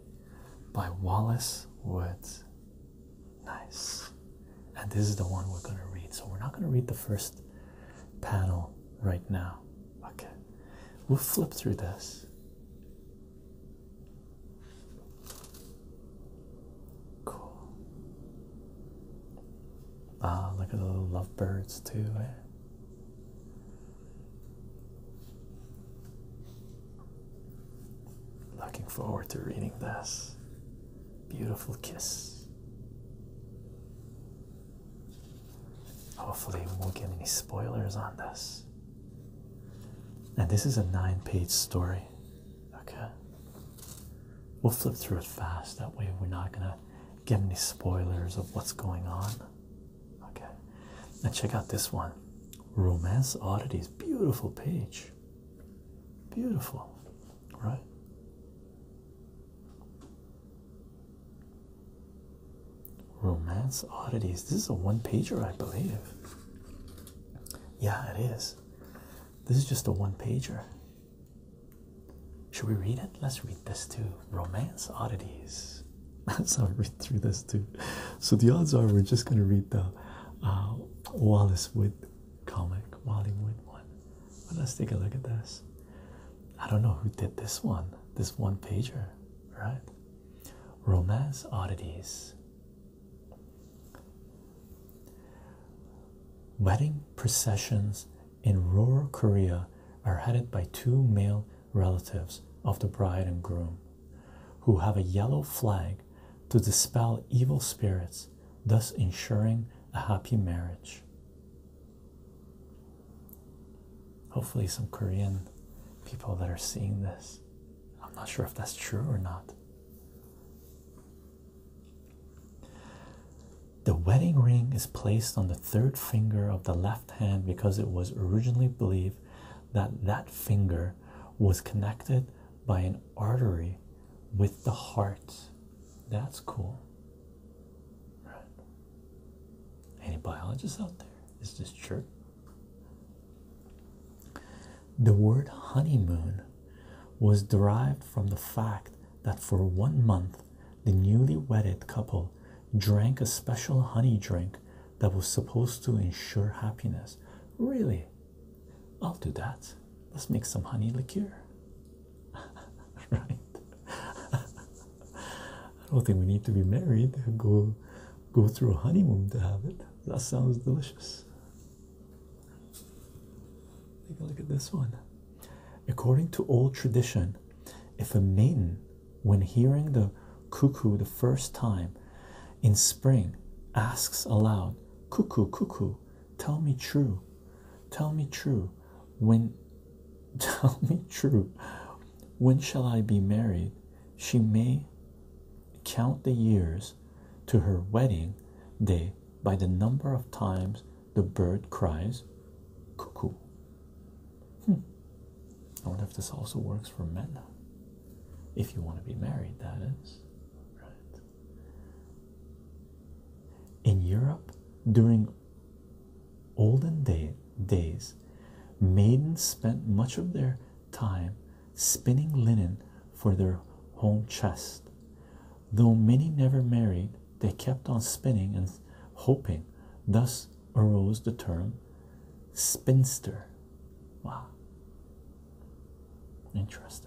by Wallace Woods. Nice. And this is the one we're going to read. So we're not going to read the first panel right now. Okay. We'll flip through this. Cool. Ah, look at the little lovebirds too. Eh? Looking forward to reading this. Beautiful kiss. Hopefully, we won't get any spoilers on this. And this is a nine page story. Okay. We'll flip through it fast. That way, we're not going to get any spoilers of what's going on. Okay. And check out this one Romance Oddities. Beautiful page. Beautiful. Right? Romance Oddities. This is a one pager, I believe. Yeah, it is. This is just a one pager. Should we read it? Let's read this too. Romance Oddities. Let's read through this too. So the odds are we're just going to read the uh, Wallace Wood comic, Wallace Wood one. But let's take a look at this. I don't know who did this one, this one pager, right? Romance Oddities. Wedding processions in rural Korea are headed by two male relatives of the bride and groom who have a yellow flag to dispel evil spirits, thus ensuring a happy marriage. Hopefully, some Korean people that are seeing this I'm not sure if that's true or not. The wedding ring is placed on the third finger of the left hand because it was originally believed that that finger was connected by an artery with the heart. That's cool. Any biologists out there? Is this true? The word honeymoon was derived from the fact that for one month the newly wedded couple drank a special honey drink that was supposed to ensure happiness. Really? I'll do that. Let's make some honey liqueur. right? I don't think we need to be married. Go go through a honeymoon to have it. That sounds delicious. Take a look at this one. According to old tradition, if a maiden, when hearing the cuckoo the first time in spring, asks aloud, Cuckoo, cuckoo, tell me true, tell me true, when tell me true, when shall I be married? she may count the years to her wedding day by the number of times the bird cries cuckoo. Hmm. I wonder if this also works for men. If you want to be married, that is. Right. In Europe, during olden day, days, maidens spent much of their time spinning linen for their home chest. Though many never married, they kept on spinning and hoping, thus arose the term spinster. Wow, interesting.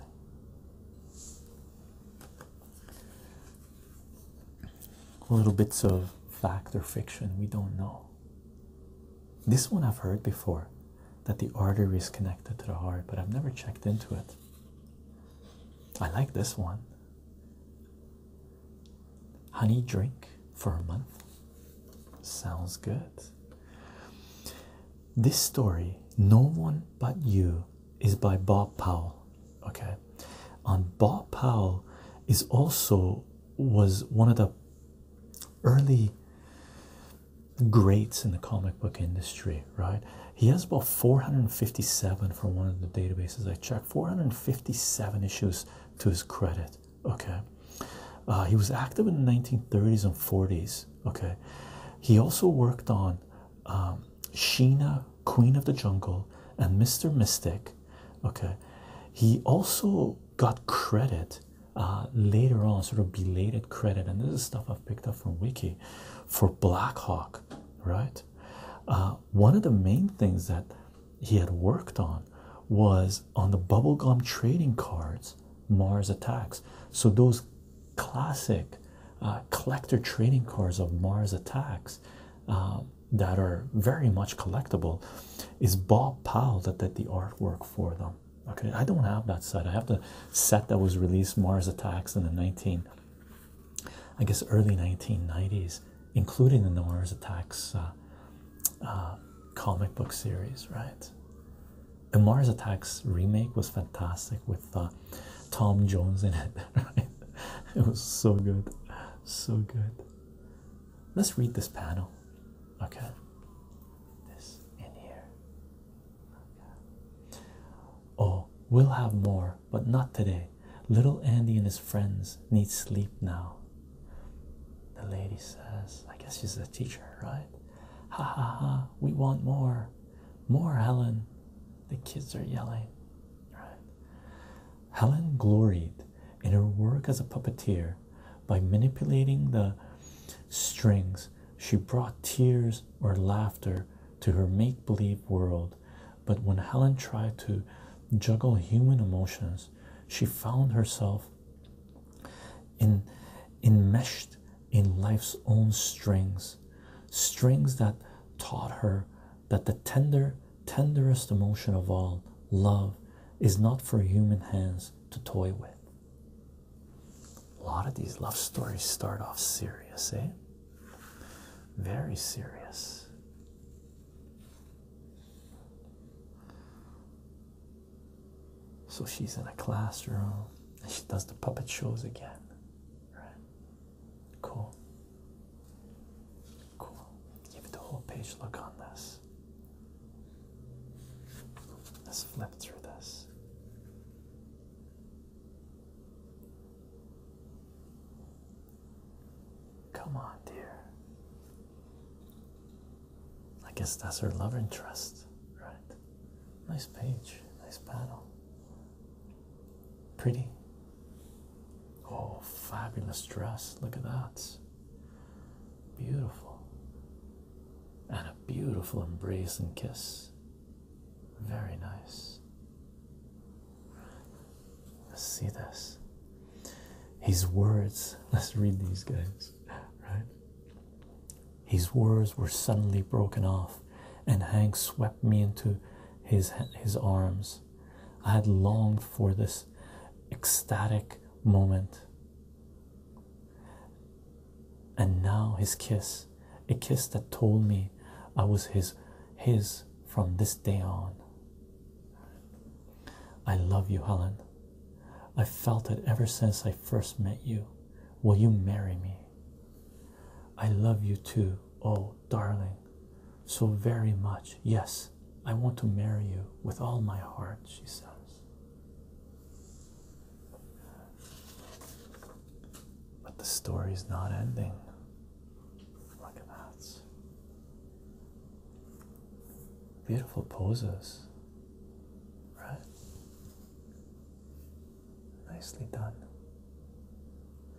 Little bits of fact or fiction, we don't know. This one I've heard before that the artery is connected to the heart, but I've never checked into it. I like this one. Honey drink for a month. Sounds good. This story, No One But You, is by Bob Powell. Okay. and Bob Powell is also was one of the early greats in the comic book industry, right? He has about 457 from one of the databases I checked, 457 issues to his credit. Okay, uh, he was active in the 1930s and 40s. Okay, he also worked on um, Sheena, Queen of the Jungle, and Mr. Mystic. Okay, he also got credit uh, later on, sort of belated credit, and this is stuff I've picked up from Wiki for Black Hawk, right? Uh, one of the main things that he had worked on was on the bubblegum trading cards, Mars Attacks. So, those classic uh, collector trading cards of Mars Attacks. that are very much collectible is Bob Powell that did the artwork for them okay i don't have that set i have the set that was released mars attacks in the 19 i guess early 1990s including the mars attacks uh, uh, comic book series right the mars attacks remake was fantastic with uh, tom jones in it it was so good so good let's read this panel okay this in here oh we'll have more but not today little andy and his friends need sleep now the lady says i guess she's a teacher right ha ha ha we want more more helen the kids are yelling right helen gloried in her work as a puppeteer by manipulating the strings, she brought tears or laughter to her make believe world. But when Helen tried to juggle human emotions, she found herself in, enmeshed in life's own strings, strings that taught her that the tender, tenderest emotion of all, love, is not for human hands to toy with. A lot of these love stories start off serious, eh? Very serious. So she's in a classroom and she does the puppet shows again. Right? Cool. Cool. Give it the whole page look on this. Let's flip through this. Come on, dear. I guess that's her love interest, right? Nice page, nice panel. Pretty. Oh, fabulous dress. Look at that. Beautiful. And a beautiful embrace and kiss. Very nice. Let's see this. His words, let's read these guys, right? His words were suddenly broken off, and Hank swept me into his, his arms. I had longed for this ecstatic moment. And now his kiss, a kiss that told me I was his his from this day on. I love you, Helen. I felt it ever since I first met you. Will you marry me? I love you too, oh darling, so very much. Yes, I want to marry you with all my heart, she says. But the story's not ending. Look at that. Beautiful poses, right? Nicely done.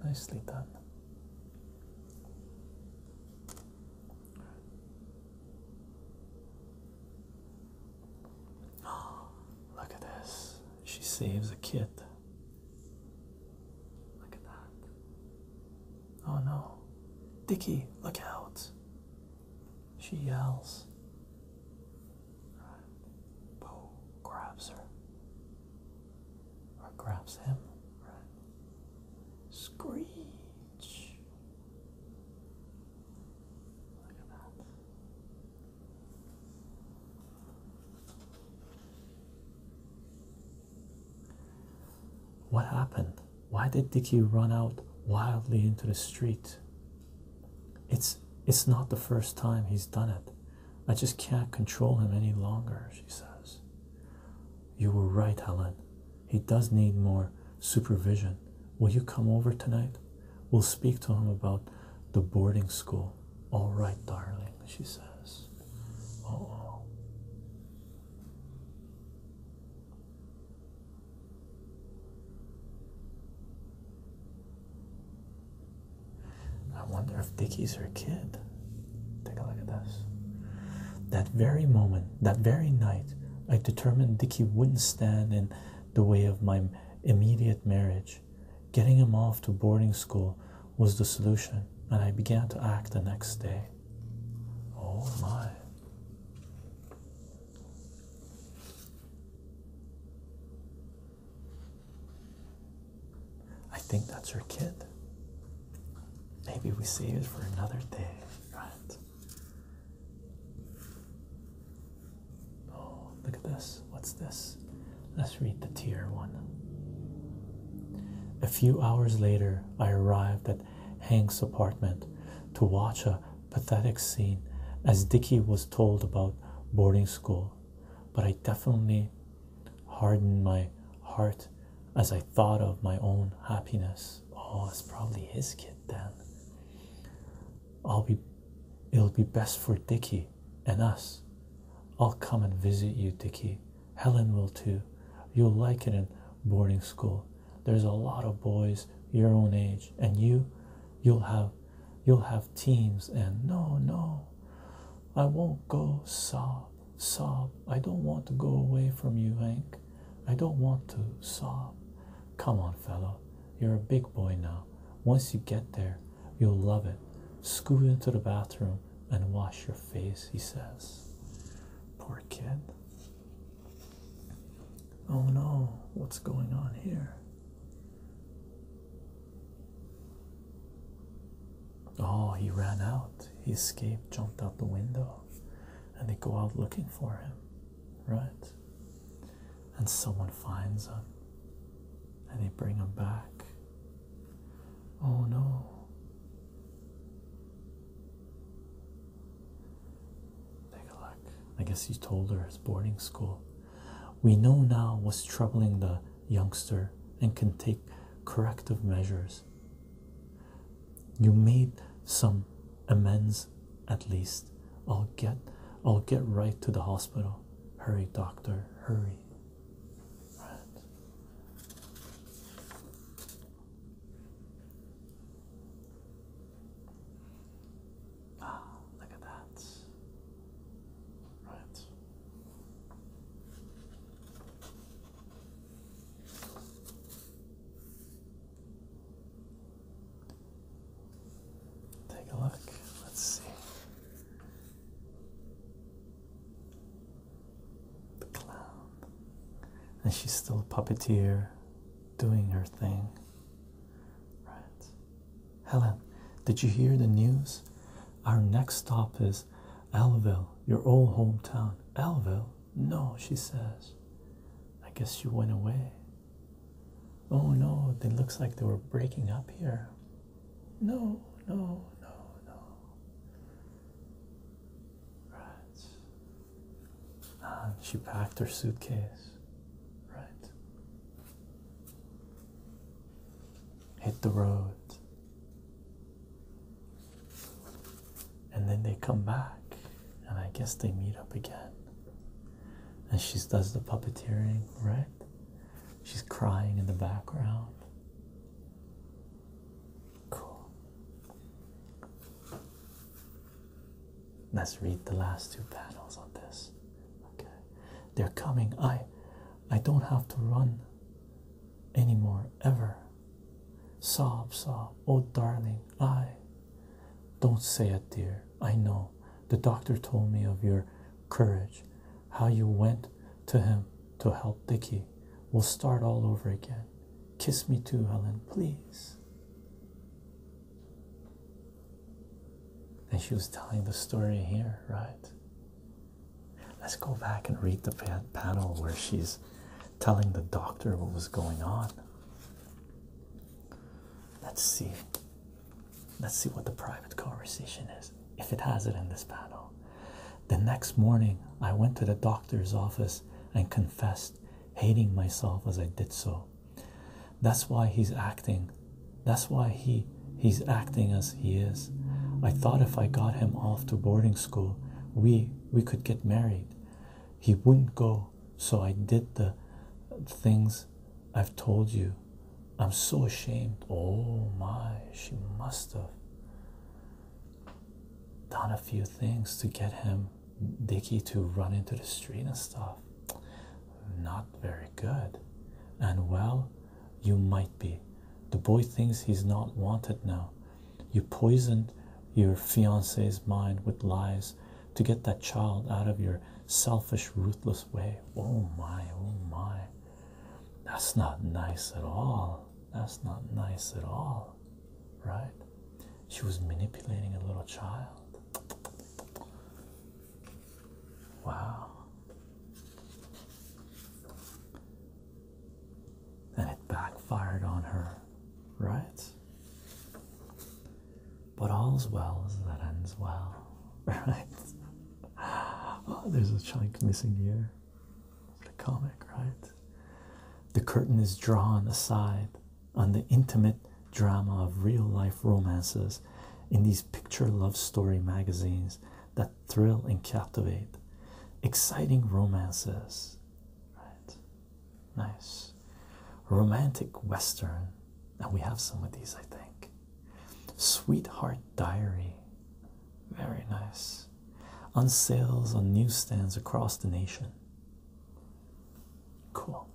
Nicely done. Oh, look at this. She saves a kid. Look at that. Oh no. Dickie, look out. She yells. Bo grabs her. Or grabs him. Right. Screech. What happened? Why did Dicky run out wildly into the street? It's it's not the first time he's done it. I just can't control him any longer, she says. You were right, Helen. He does need more supervision. Will you come over tonight? We'll speak to him about the boarding school. All right, darling, she says. I wonder if Dickie's her kid. Take a look at this. That very moment, that very night, I determined Dicky wouldn't stand in the way of my immediate marriage. Getting him off to boarding school was the solution, and I began to act the next day. Oh my. I think that's your kid. Maybe we save it for another day, right? Oh, look at this. What's this? Let's read the tier one. A few hours later, I arrived at Hank's apartment to watch a pathetic scene as Dicky was told about boarding school, but I definitely hardened my heart as I thought of my own happiness. Oh, it's probably his kid then. I'll be it'll be best for Dickie and us. I'll come and visit you, Dickie. Helen will too. You'll like it in boarding school. There's a lot of boys your own age, and you you'll have you'll have teams and no no I won't go sob sob I don't want to go away from you Hank I don't want to sob come on fellow you're a big boy now. Once you get there, you'll love it. Scoot into the bathroom and wash your face, he says. Poor kid. Oh no, what's going on here? Oh, he ran out. He escaped, jumped out the window, and they go out looking for him, right? and someone finds them and they bring them back. Oh no. Take a look. I guess he told her it's boarding school. We know now what's troubling the youngster and can take corrective measures. You made some amends at least. I'll get I'll get right to the hospital. Hurry, doctor, hurry. Ah, look at that. Right. Take a look. Let's see. The clown. And she's still a puppeteer doing her thing. Right. Helen, did you hear the news? Our next stop is Alville, your old hometown. Alville? No, she says. I guess you went away. Oh no, it looks like they were breaking up here. No, no, no, no. Right. Ah, she packed her suitcase. Right. Hit the road. And then they come back, and I guess they meet up again and she does the puppeteering, right? She's crying in the background. Cool. Let's read the last two panels on this. Okay. They're coming. I I don't have to run anymore ever. Sob, sob, oh darling, I don't say it, dear. I know. The doctor told me of your courage, how you went to him to help Dicky. We'll start all over again. Kiss me too, Helen, please. And she was telling the story here, right? Let's go back and read the panel where she's telling the doctor what was going on. Let's see. Let's see what the private conversation is, if it has it in this panel. The next morning, I went to the doctor's office and confessed, hating myself as I did so. That's why he's acting. That's why he he's acting as he is. I thought if I got him off to boarding school, we we could get married. He wouldn't go, so I did the things I've told you. I'm so ashamed. Oh my, she must have done a few things to get him, Dicky, to run into the street and stuff. Not very good. And well, you might be. The boy thinks he's not wanted now. You poisoned your fiance's mind with lies to get that child out of your selfish, ruthless way. Oh my, oh my. That's not nice at all. That's not nice at all. Right? She was manipulating a little child. Wow. And it backfired on her, right? But all's well that ends well, right? Oh, there's a chunk missing here. The comic, right? The curtain is drawn aside on the intimate drama of real life romances in these picture love story magazines that thrill and captivate. Exciting romances, right? Nice. Romantic Western, and we have some of these, I think. Sweetheart Diary. Very nice. On sales on newsstands across the nation. Cool.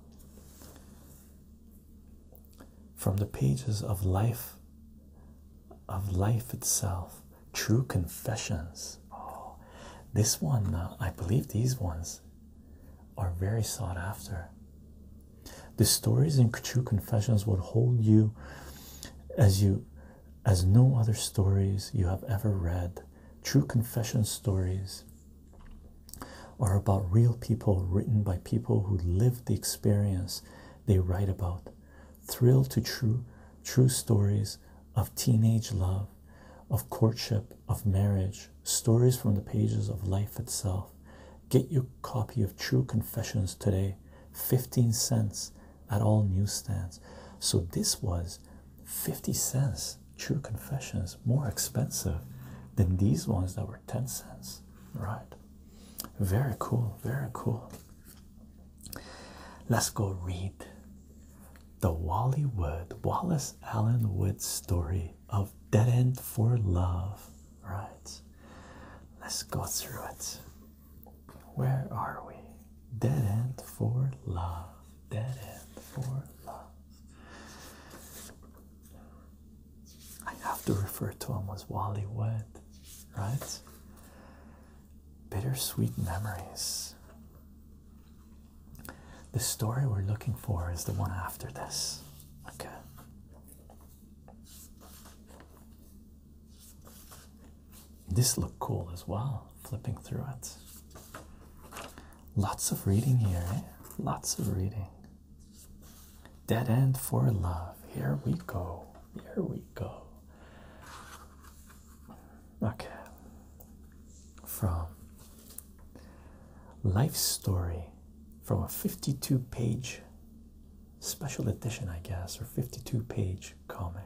From the pages of life of life itself, true confessions. Oh, this one, uh, I believe these ones are very sought after. The stories in True Confessions will hold you as you as no other stories you have ever read. True Confession stories are about real people written by people who lived the experience they write about. Thrill to true true stories of teenage love, of courtship, of marriage, stories from the pages of life itself. Get your copy of True Confessions today, 15 cents at all newsstands. So this was 50 cents, True Confessions, more expensive than these ones that were 10 cents, right? Very cool, very cool. Let's go read the Wally Wood, Wallace Allen Wood story of Dead End for Love. Right. Let's go through it. Where are we? Dead end for love. Dead end for love. I have to refer to him as Wally Wood, right? Bittersweet memories. The story we're looking for is the one after this. Okay. This looked cool as well, flipping through it. Lots of reading here, eh? Lots of reading. Dead End for Love. Here we go. Here we go. Okay. From Life Story from a 52 page special edition, I guess, or 52 page comic.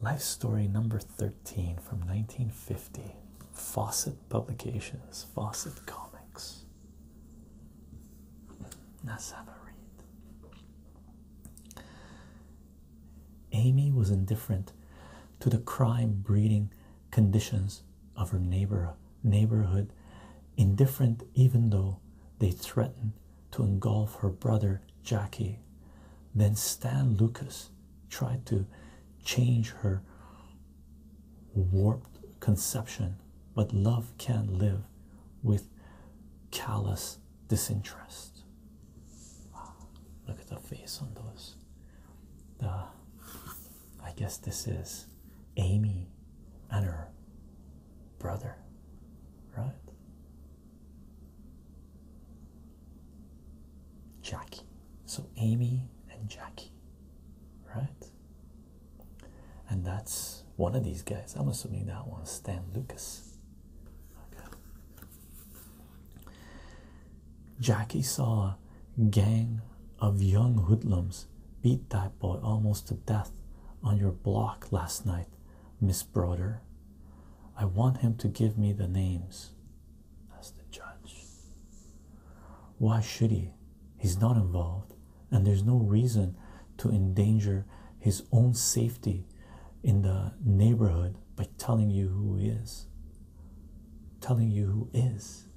Life Story number 13 from 1950, Fawcett Publications, Fawcett Comics. Let's have a read. Amy was indifferent to the crime breeding conditions of her neighbor neighborhood, indifferent even though they threatened to engulf her brother Jackie. Then Stan Lucas tried to change her warped conception, but love can't live with callous disinterest. look at the face on those. I guess this is Amy and her brother, right? Jackie. So Amy and Jackie, right? And that's one of these guys. I'm assuming that one's Stan Lucas. Okay. Jackie saw gang of young hoodlums beat that boy almost to death on your block last night, Miss Broder. I want him to give me the names. asked the judge. Why should he? He's not involved, and there's no reason to endanger his own safety in the neighborhood by telling you who he is. Telling you who is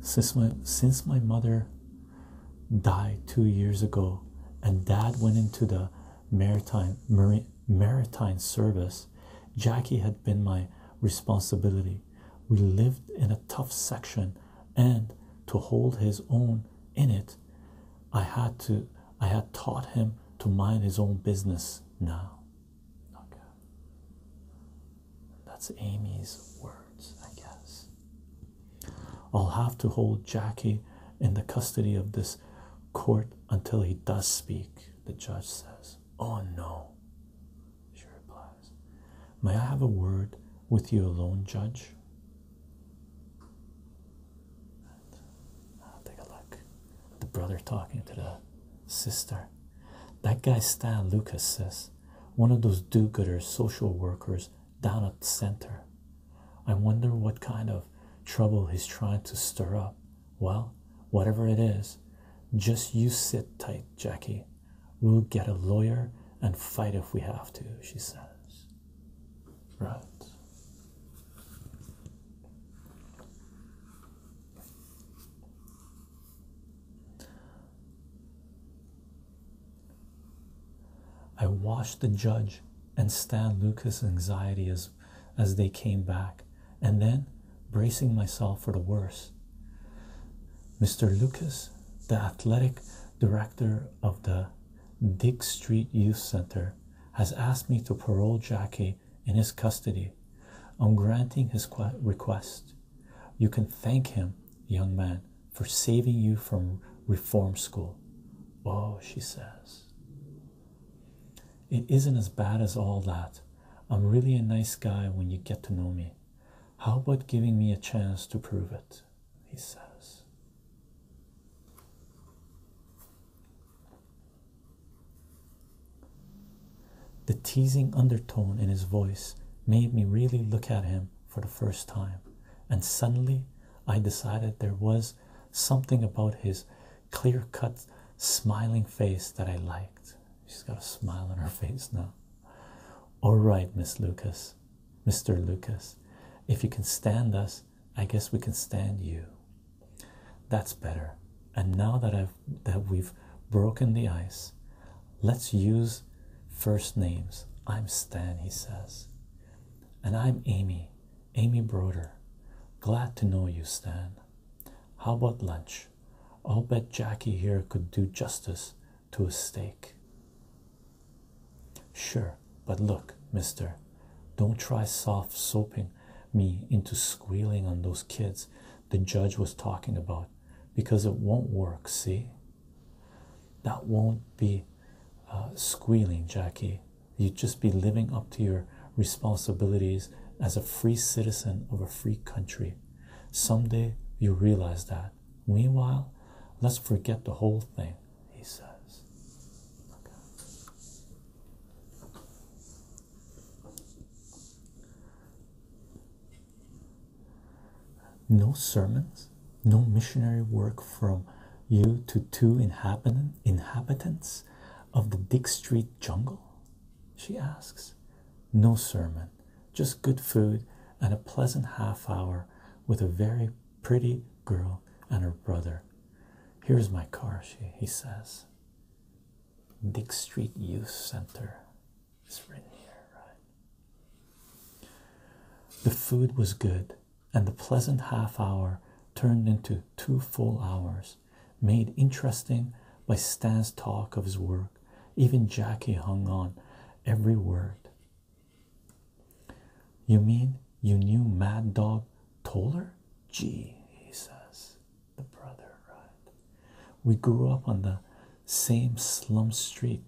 since my since my mother died two years ago and dad went into the maritime maritime service jackie had been my responsibility we lived in a tough section and to hold his own in it i had to I had taught him to mind his own business now. That's Amy's words, I guess. I'll have to hold Jackie in the custody of this court until he does speak, the judge says. Oh no, she replies. May I have a word with you alone, Judge? take a look. The brother talking to the sister. That guy Stan Lucas says, one of those do-gooders, social workers down at the center. I wonder what kind of trouble he's trying to stir up. Well, whatever it is, just you sit tight, Jackie. We'll get a lawyer and fight if we have to, she says. Right. I watched the judge and Stan Lucas' anxiety as, as they came back, and then bracing myself for the worst. Mr. Lucas, the athletic director of the Dick Street Youth Center, has asked me to parole Jackie in his custody. On granting his request, you can thank him, young man, for saving you from reform school. Oh, she says. It isn't as bad as all that. I'm really a nice guy when you get to know me. How about giving me a chance to prove it? He says. The teasing undertone in his voice made me really look at him for the first time, and suddenly I decided there was something about his clear cut, smiling face that I liked. She's got a smile on her face now. All right, Miss Lucas, Mr. Lucas, if you can stand us, I guess we can stand you. That's better. And now that I've that we've broken the ice, let's use first names. I'm Stan, he says. And I'm Amy, Amy Broder. Glad to know you, Stan. How about lunch? I'll bet Jackie here could do justice to a steak. Sure, but look, mister, don't try soft soaping me into squealing on those kids the judge was talking about because it won't work. See, that won't be uh, squealing, Jackie. You'd just be living up to your responsibilities as a free citizen of a free country. Someday you realize that. Meanwhile, let's forget the whole thing, he says. No sermons, no missionary work from you to two inhabitant inhabitants of the Dick Street jungle? She asks. No sermon, just good food and a pleasant half hour with a very pretty girl and her brother. Here's my car, she he says. Dick Street Youth Center is written here, The food was good, and the pleasant half hour turned into two full hours, made interesting by Stan's talk of his work. Even Jackie hung on every word. You mean you knew Mad Dog Toller? Gee, he says the brother, right? We grew up on the same slum street.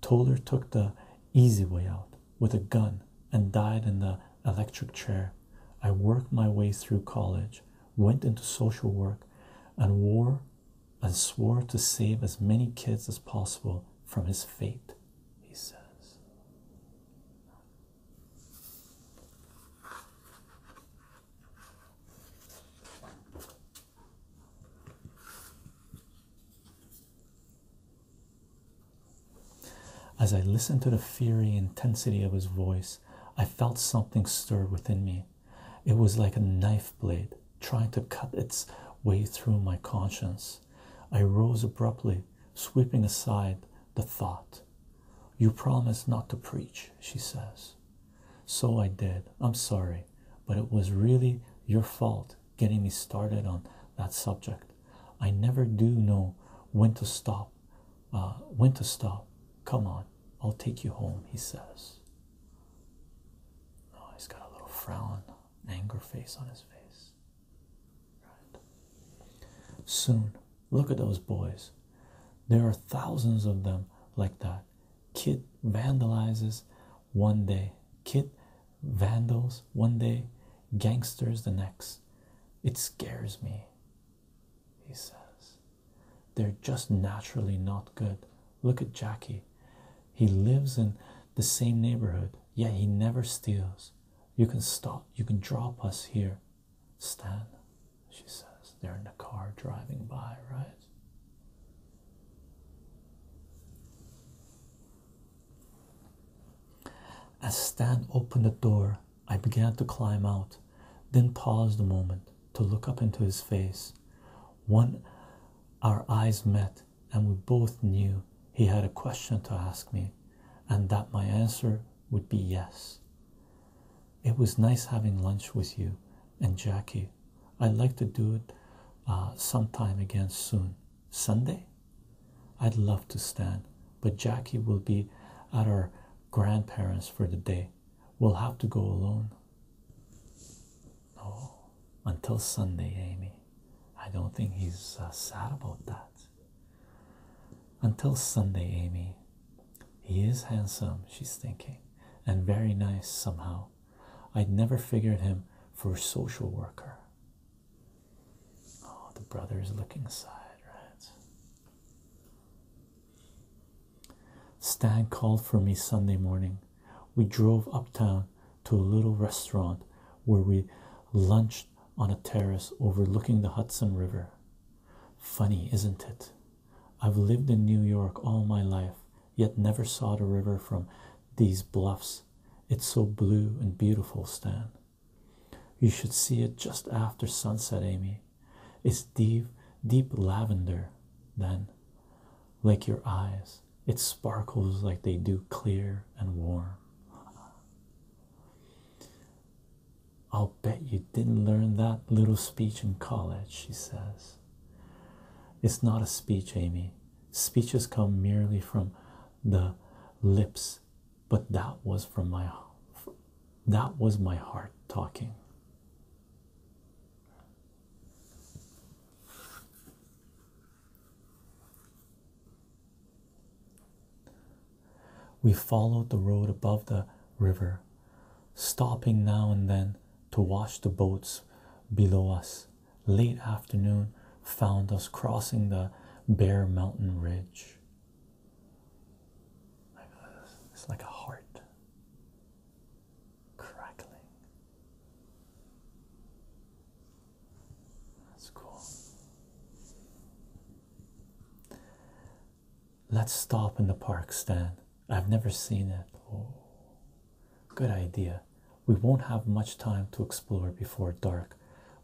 Toller took the easy way out with a gun and died in the electric chair. I worked my way through college, went into social work, and wore and swore to save as many kids as possible from his fate, he says. As I listened to the fiery intensity of his voice, I felt something stir within me. It was like a knife blade trying to cut its way through my conscience. I rose abruptly, sweeping aside the thought. You promised not to preach, she says. So I did. I'm sorry, but it was really your fault getting me started on that subject. I never do know when to stop. Uh, when to stop. Come on, I'll take you home, he says. Oh, he's got a little frown, anger face on his face. Right. Soon, Look at those boys. There are thousands of them like that. Kid vandalizes one day, kid vandals one day, gangsters the next. It scares me, he says. They're just naturally not good. Look at Jackie. He lives in the same neighborhood, yet he never steals. You can stop, you can drop us here Stan, she says. They're in the car driving by, right? As Stan opened the door, I began to climb out, then paused a moment to look up into his face. One, our eyes met, and we both knew he had a question to ask me, and that my answer would be yes. It was nice having lunch with you and Jackie. I'd like to do it uh, sometime again soon. Sunday? I'd love to, stand, but Jackie will be at our grandparents' for the day. We'll have to go alone. Oh, until Sunday, Amy. I don't think he's uh, sad about that. Until Sunday, Amy. He is handsome, she's thinking, and very nice somehow. I'd never figured him for a social worker. Oh, the brother is looking aside, right? Stan called for me Sunday morning. We drove uptown to a little restaurant where we lunched on a terrace overlooking the Hudson River. Funny, isn't it? I've lived in New York all my life, yet never saw the river from these bluffs. It's so blue and beautiful, Stan. You should see it just after sunset, Amy. It's deep, deep lavender, then, like your eyes. It sparkles like they do, clear and warm. I'll bet you didn't learn that little speech in college, she says. It's not a speech, Amy. Speeches come merely from the lips, but that was from my that was my heart talking. We followed the road above the river, stopping now and then to watch the boats below us. Late afternoon found us crossing the bare mountain ridge. It's like a heart crackling. That's cool. Let's stop in the park Stan. I've never seen it. Oh, good idea. We won't have much time to explore before dark,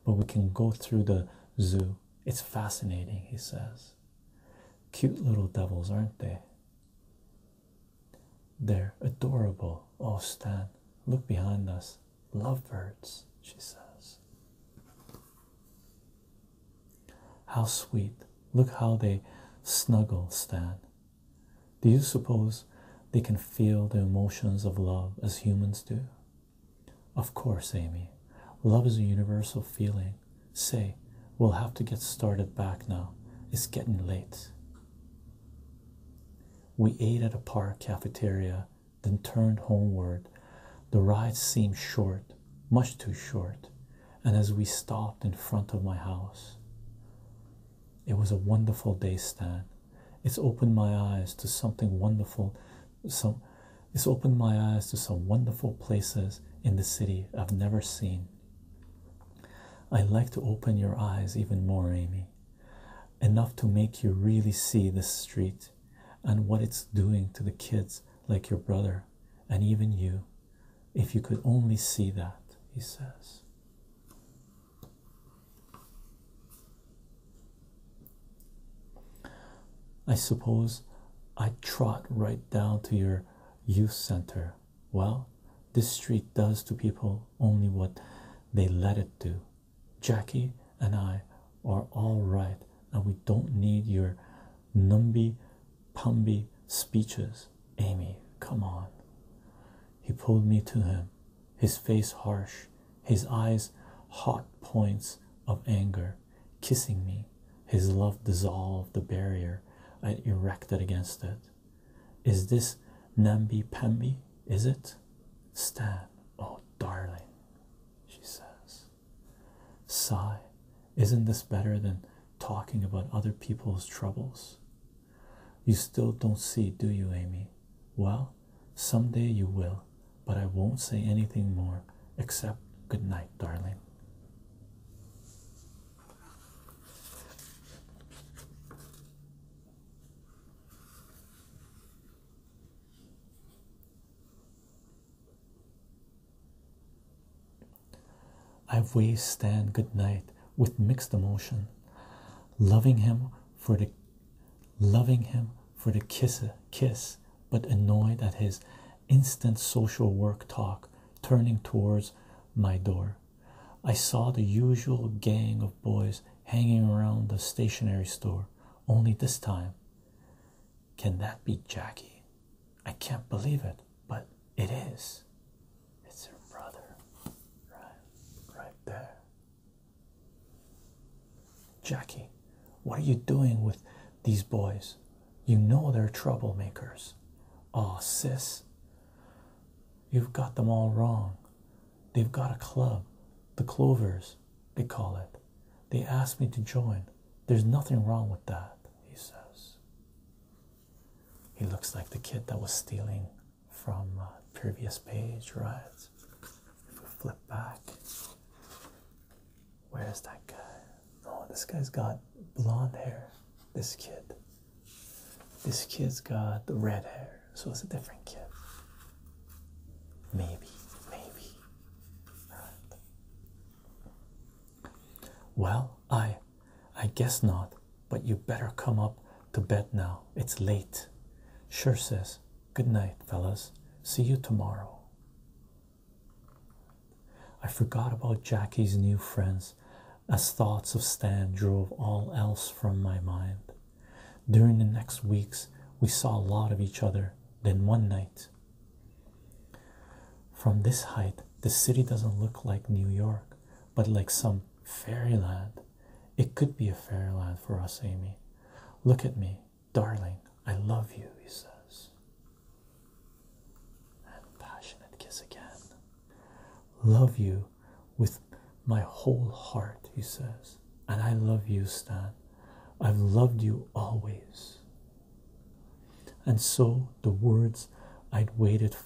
but we can go through the zoo. It's fascinating, he says. Cute little devils, aren't they? They're adorable. Oh, Stan, look behind us. Lovebirds, she says. How sweet. Look how they snuggle, Stan. Do you suppose they can feel the emotions of love as humans do? Of course, Amy. Love is a universal feeling. Say, we'll have to get started back now. It's getting late. We ate at a park cafeteria, then turned homeward. The ride seemed short, much too short and as we stopped in front of my house. It was a wonderful day, Stan. It's opened my eyes to something wonderful. So, it's opened my eyes to some wonderful places in the city I've never seen. I like to open your eyes even more, Amy, enough to make you really see this street and what it's doing to the kids like your brother and even you, if you could only see that, he says. I suppose I trot right down to your youth center. Well, this street does to people only what they let it do. Jackie and I are all right, and we don't need your numby Pumby speeches. Amy, come on. He pulled me to him, his face harsh, his eyes hot points of anger, kissing me. His love dissolved the barrier I erected against it. Is this Nambi Pambi? Is it? Stan, oh darling, she says. Sigh, isn't this better than talking about other people's troubles? You still don't see, do you, Amy? Well, someday you will, but I won't say anything more except good night, darling. I wave Stan good night with mixed emotion, loving him for the loving him for the kiss kiss, but annoyed at his instant social work talk turning towards my door. I saw the usual gang of boys hanging around the stationery store, only this time can that be Jackie? I can't believe it, but it is. It's her brother. Right, right there. Jackie, what are you doing with these boys? You know they're troublemakers. Oh, sis, you've got them all wrong. They've got a club, the Clovers, they call it. They asked me to join. There's nothing wrong with that, he says. He looks like the kid that was stealing from uh, previous page, right? If we flip back, where is that guy? Oh, this guy's got blonde hair. This kid. This kid's got the red hair, so it's a different kid. Maybe, maybe. Well, I I guess not, but you better come up to bed now. It's late. Sure says, Good night, fellas. See you tomorrow. I forgot about Jackie's new friends as thoughts of Stan drove all else from my mind. During the next weeks, we saw a lot of each other. Then one night, from this height, the city doesn't look like New York, but like some fairyland. It could be a fairyland for us, Amy. Look at me, darling. I love you, he says. And passionate kiss again. Love you with my whole heart, he says. And I love you, Stan. I've loved you always. And so the words I'd waited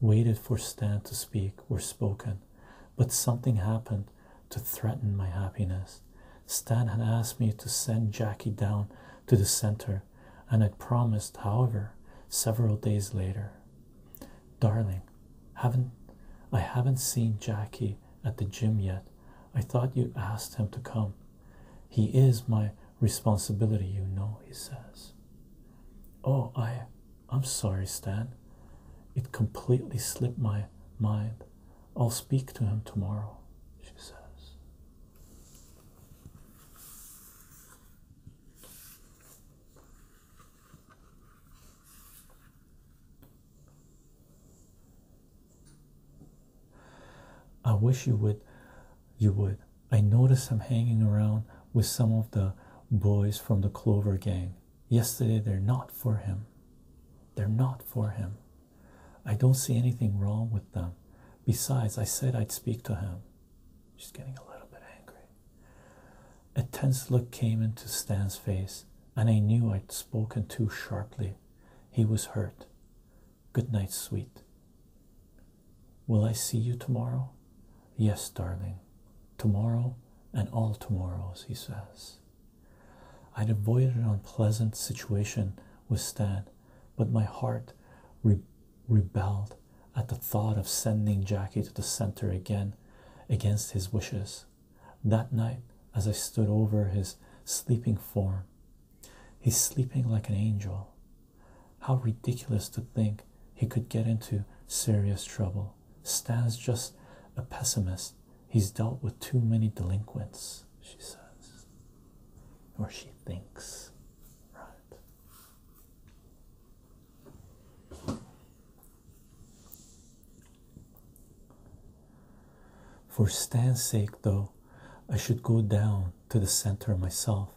waited for Stan to speak were spoken, but something happened to threaten my happiness. Stan had asked me to send Jackie down to the center, and I would promised, however, several days later. Darling, haven't I haven't seen Jackie at the gym yet. I thought you would asked him to come. He is my responsibility, you know, he says. Oh, I I'm sorry, Stan. It completely slipped my mind. I'll speak to him tomorrow, she says. I wish you would you would I noticed him hanging around with some of the boys from the Clover Gang. Yesterday, they're not for him. They're not for him. I don't see anything wrong with them. Besides, I said I'd speak to him. She's getting a little bit angry. A tense look came into Stan's face, and I knew I'd spoken too sharply. He was hurt. Good night, sweet. Will I see you tomorrow? Yes, darling. Tomorrow and all tomorrows, he says. I'd avoided an unpleasant situation with Stan, but my heart rebelled at the thought of sending Jackie to the center again against his wishes. That night, as I stood over his sleeping form, he's sleeping like an angel. How ridiculous to think he could get into serious trouble. Stan's just a pessimist. He's dealt with too many delinquents, she says. Or she thinks. Right. For Stan's sake, though, I should go down to the center myself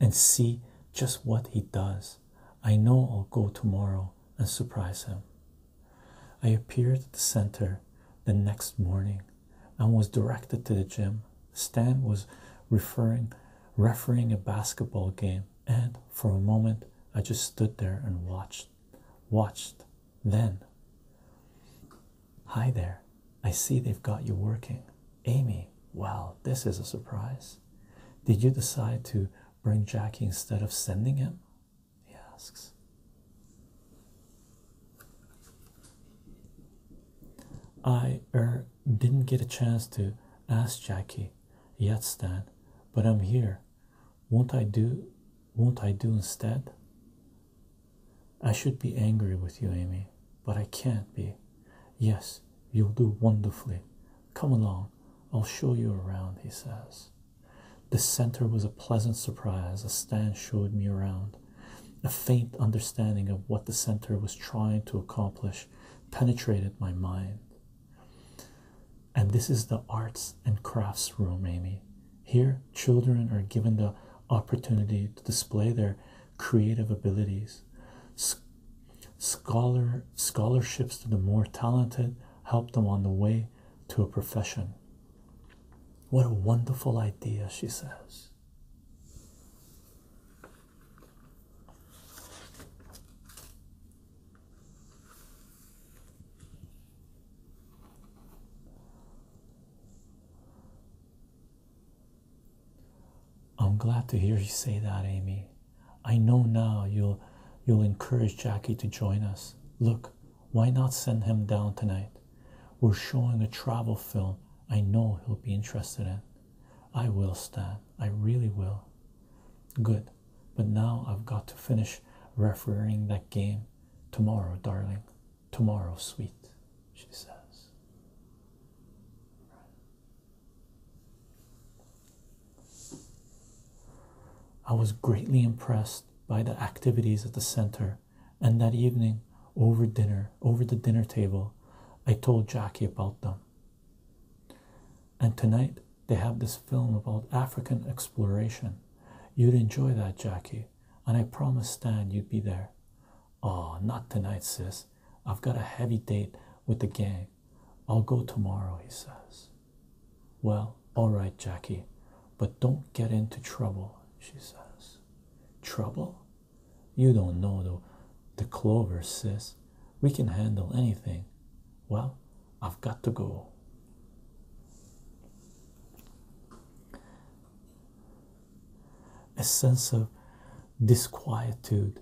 and see just what he does. I know I'll go tomorrow and surprise him. I appeared at the center the next morning and was directed to the gym. Stan was referring refereeing a basketball game and for a moment I just stood there and watched watched then hi there I see they've got you working. Amy, Well, this is a surprise. Did you decide to bring Jackie instead of sending him? He asks. I er didn't get a chance to ask Jackie yet, Stan, but I'm here. Won't I do won't I do instead? I should be angry with you, Amy, but I can't be. Yes, you'll do wonderfully. Come along, I'll show you around, he says. The center was a pleasant surprise as Stan showed me around. A faint understanding of what the center was trying to accomplish penetrated my mind. And this is the arts and crafts room, Amy. Here, children are given the opportunity to display their creative abilities. Scholar scholarships to the more talented help them on the way to a profession. What a wonderful idea, she says. I'm glad to hear you say that, Amy. I know now you'll you'll encourage Jackie to join us. Look, why not send him down tonight? We're showing a travel film I know he'll be interested in. I will, Stan. I really will. Good. But now I've got to finish refereeing that game. Tomorrow, darling. Tomorrow, sweet, she says. I was greatly impressed by the activities at the center, and that evening, over dinner, over the dinner table, I told Jackie about them. And tonight, they have this film about African exploration. You'd enjoy that, Jackie, and I promised Stan you'd be there. Oh, not tonight, sis. I've got a heavy date with the gang. I'll go tomorrow, he says. Well, all right, Jackie, but don't get into trouble, she says. Trouble? You don't know though. the clover, says We can handle anything. Well, I've got to go. A sense of disquietude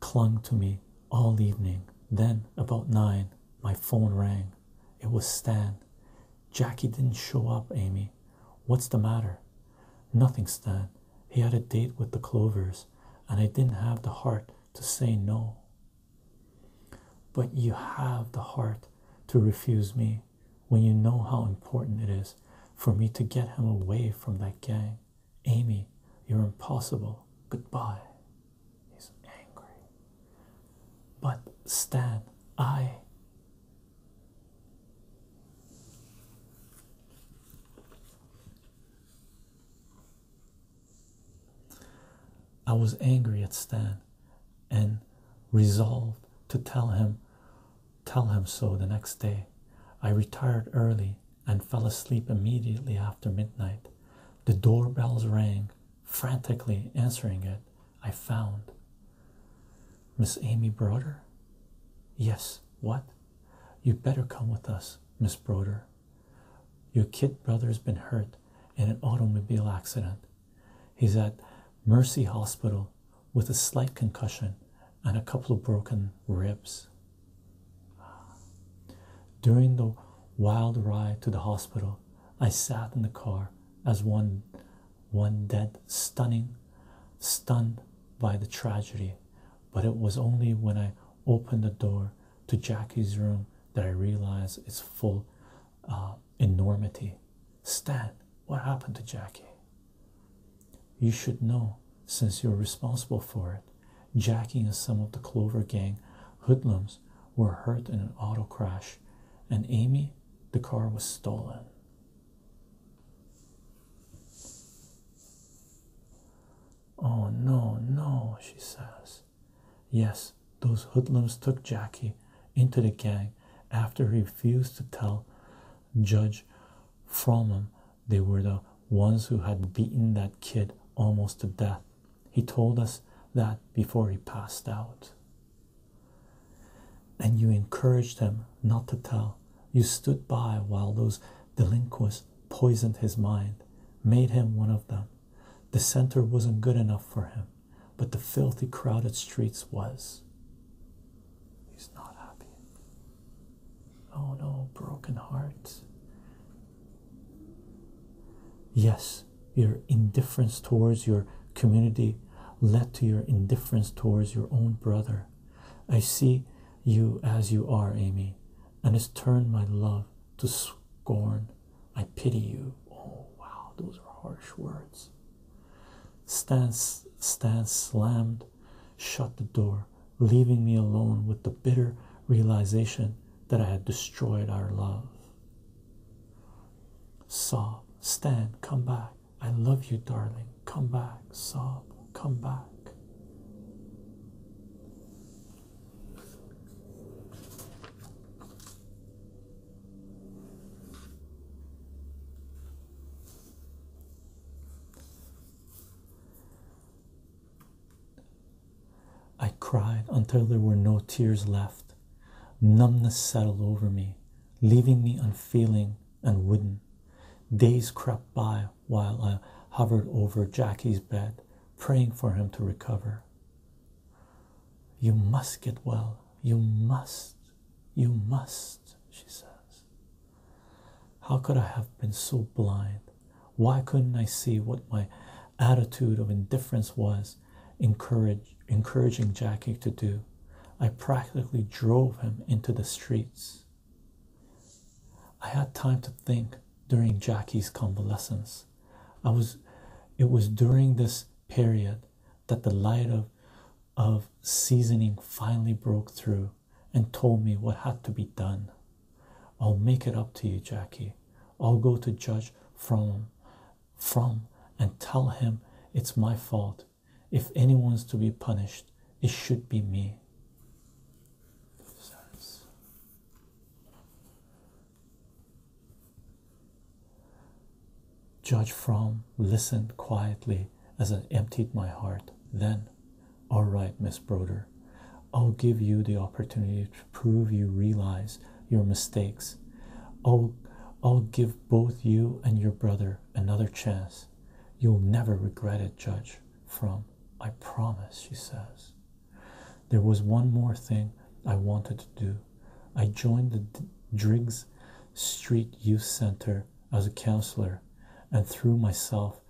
clung to me all evening. Then, about nine, my phone rang. It was Stan. Jackie didn't show up, Amy. What's the matter? Nothing, Stan. He had a date with the Clovers, and I didn't have the heart to say no. But you have the heart to refuse me when you know how important it is for me to get him away from that gang. Amy, you're impossible. Goodbye. He's angry. But Stan, I. I was angry at Stan and resolved to tell him tell him so the next day. I retired early and fell asleep immediately after midnight. The doorbells rang, frantically answering it. I found Miss Amy Broder? Yes, what? You would better come with us, Miss Broder. Your kid brother's been hurt in an automobile accident. He's at Mercy Hospital with a slight concussion and a couple of broken ribs. During the wild ride to the hospital, I sat in the car as one one dead stunning stunned by the tragedy, but it was only when I opened the door to Jackie's room that I realized its full uh, enormity. Stan, what happened to Jackie? You should know since you're responsible for it. Jackie and some of the Clover Gang hoodlums were hurt in an auto crash, and Amy, the car was stolen. Oh no, no, she says. Yes, those hoodlums took Jackie into the gang after he refused to tell Judge Fromm they were the ones who had beaten that kid almost to death. He told us that before he passed out. And you encouraged him not to tell. You stood by while those delinquents poisoned his mind, made him one of them. The center wasn't good enough for him, but the filthy, crowded streets was. He's not happy. Oh no, broken heart. Yes, your indifference towards your community led to your indifference towards your own brother. I see you as you are, Amy, and it's turned my love to scorn. I pity you. Oh wow, those are harsh words. Stan, Stan slammed shut the door, leaving me alone with the bitter realization that I had destroyed our love. Sob, stand, come back. I love you, darling. Come back, sob, come back. I cried until there were no tears left. Numbness settled over me, leaving me unfeeling and wooden. Days crept by while I hovered over Jackie's bed, praying for him to recover. You must get well. You must. You must, she says. How could I have been so blind? Why couldn't I see what my attitude of indifference was encouraging Jackie to do? I practically drove him into the streets. I had time to think during Jackie's convalescence. I was it was during this period that the light of of seasoning finally broke through and told me what had to be done. I'll make it up to you, Jackie. I'll go to Judge From From and tell him it's my fault. If anyone's to be punished, it should be me. Judge From listened quietly as I emptied my heart. Then all right, Miss Broder, I'll give you the opportunity to prove you realize your mistakes. I'll, I'll give both you and your brother another chance. You'll never regret it, Judge. From I promise, she says. There was one more thing I wanted to do. I joined the Driggs Street Youth Center as a counselor and threw myself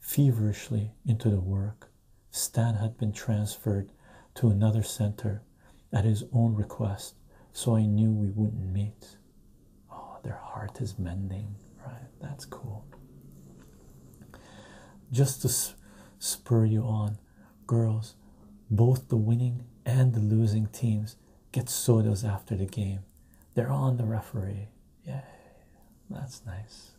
feverishly into the work. Stan had been transferred to another center at his own request, so I knew we wouldn't meet. Oh, their heart is mending, right? That's cool. Just to spur you on, girls, both the winning and the losing teams get sodas after the game. They're on the referee. Yay, that's nice.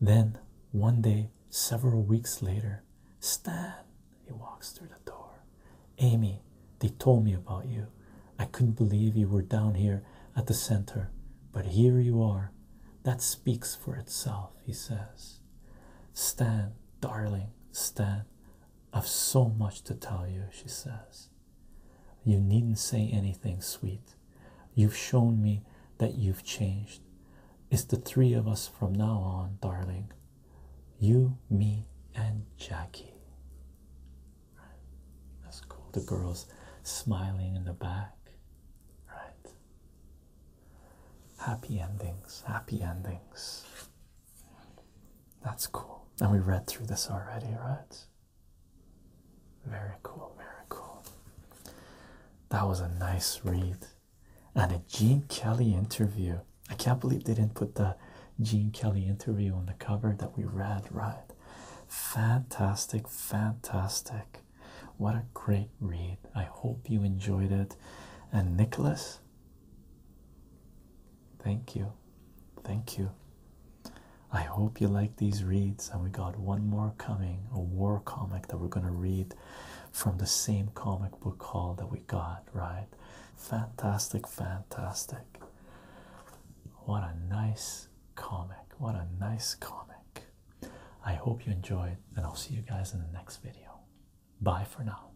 Then one day, several weeks later, Stan, he walks through the door. Amy, they told me about you. I couldn't believe you were down here at the center, but here you are. That speaks for itself, he says. Stan, darling, Stan, I've so much to tell you, she says. You needn't say anything, sweet. You've shown me that you've changed. It's the three of us from now on, darling. You, me, and Jackie. That's cool. The girls smiling in the back. Right. Happy endings. Happy endings. That's cool. And we read through this already, right? Very cool, very cool. That was a nice read. And a Gene Kelly interview. I can't believe they didn't put the Gene Kelly interview on the cover that we read, right? Fantastic, fantastic. What a great read. I hope you enjoyed it. And Nicholas, Thank you. Thank you. I hope you like these reads, and we got one more coming a war comic that we're going to read from the same comic book haul that we got, right? Fantastic, fantastic. What a nice comic! What a nice comic. I hope you enjoyed, and I'll see you guys in the next video. Bye for now.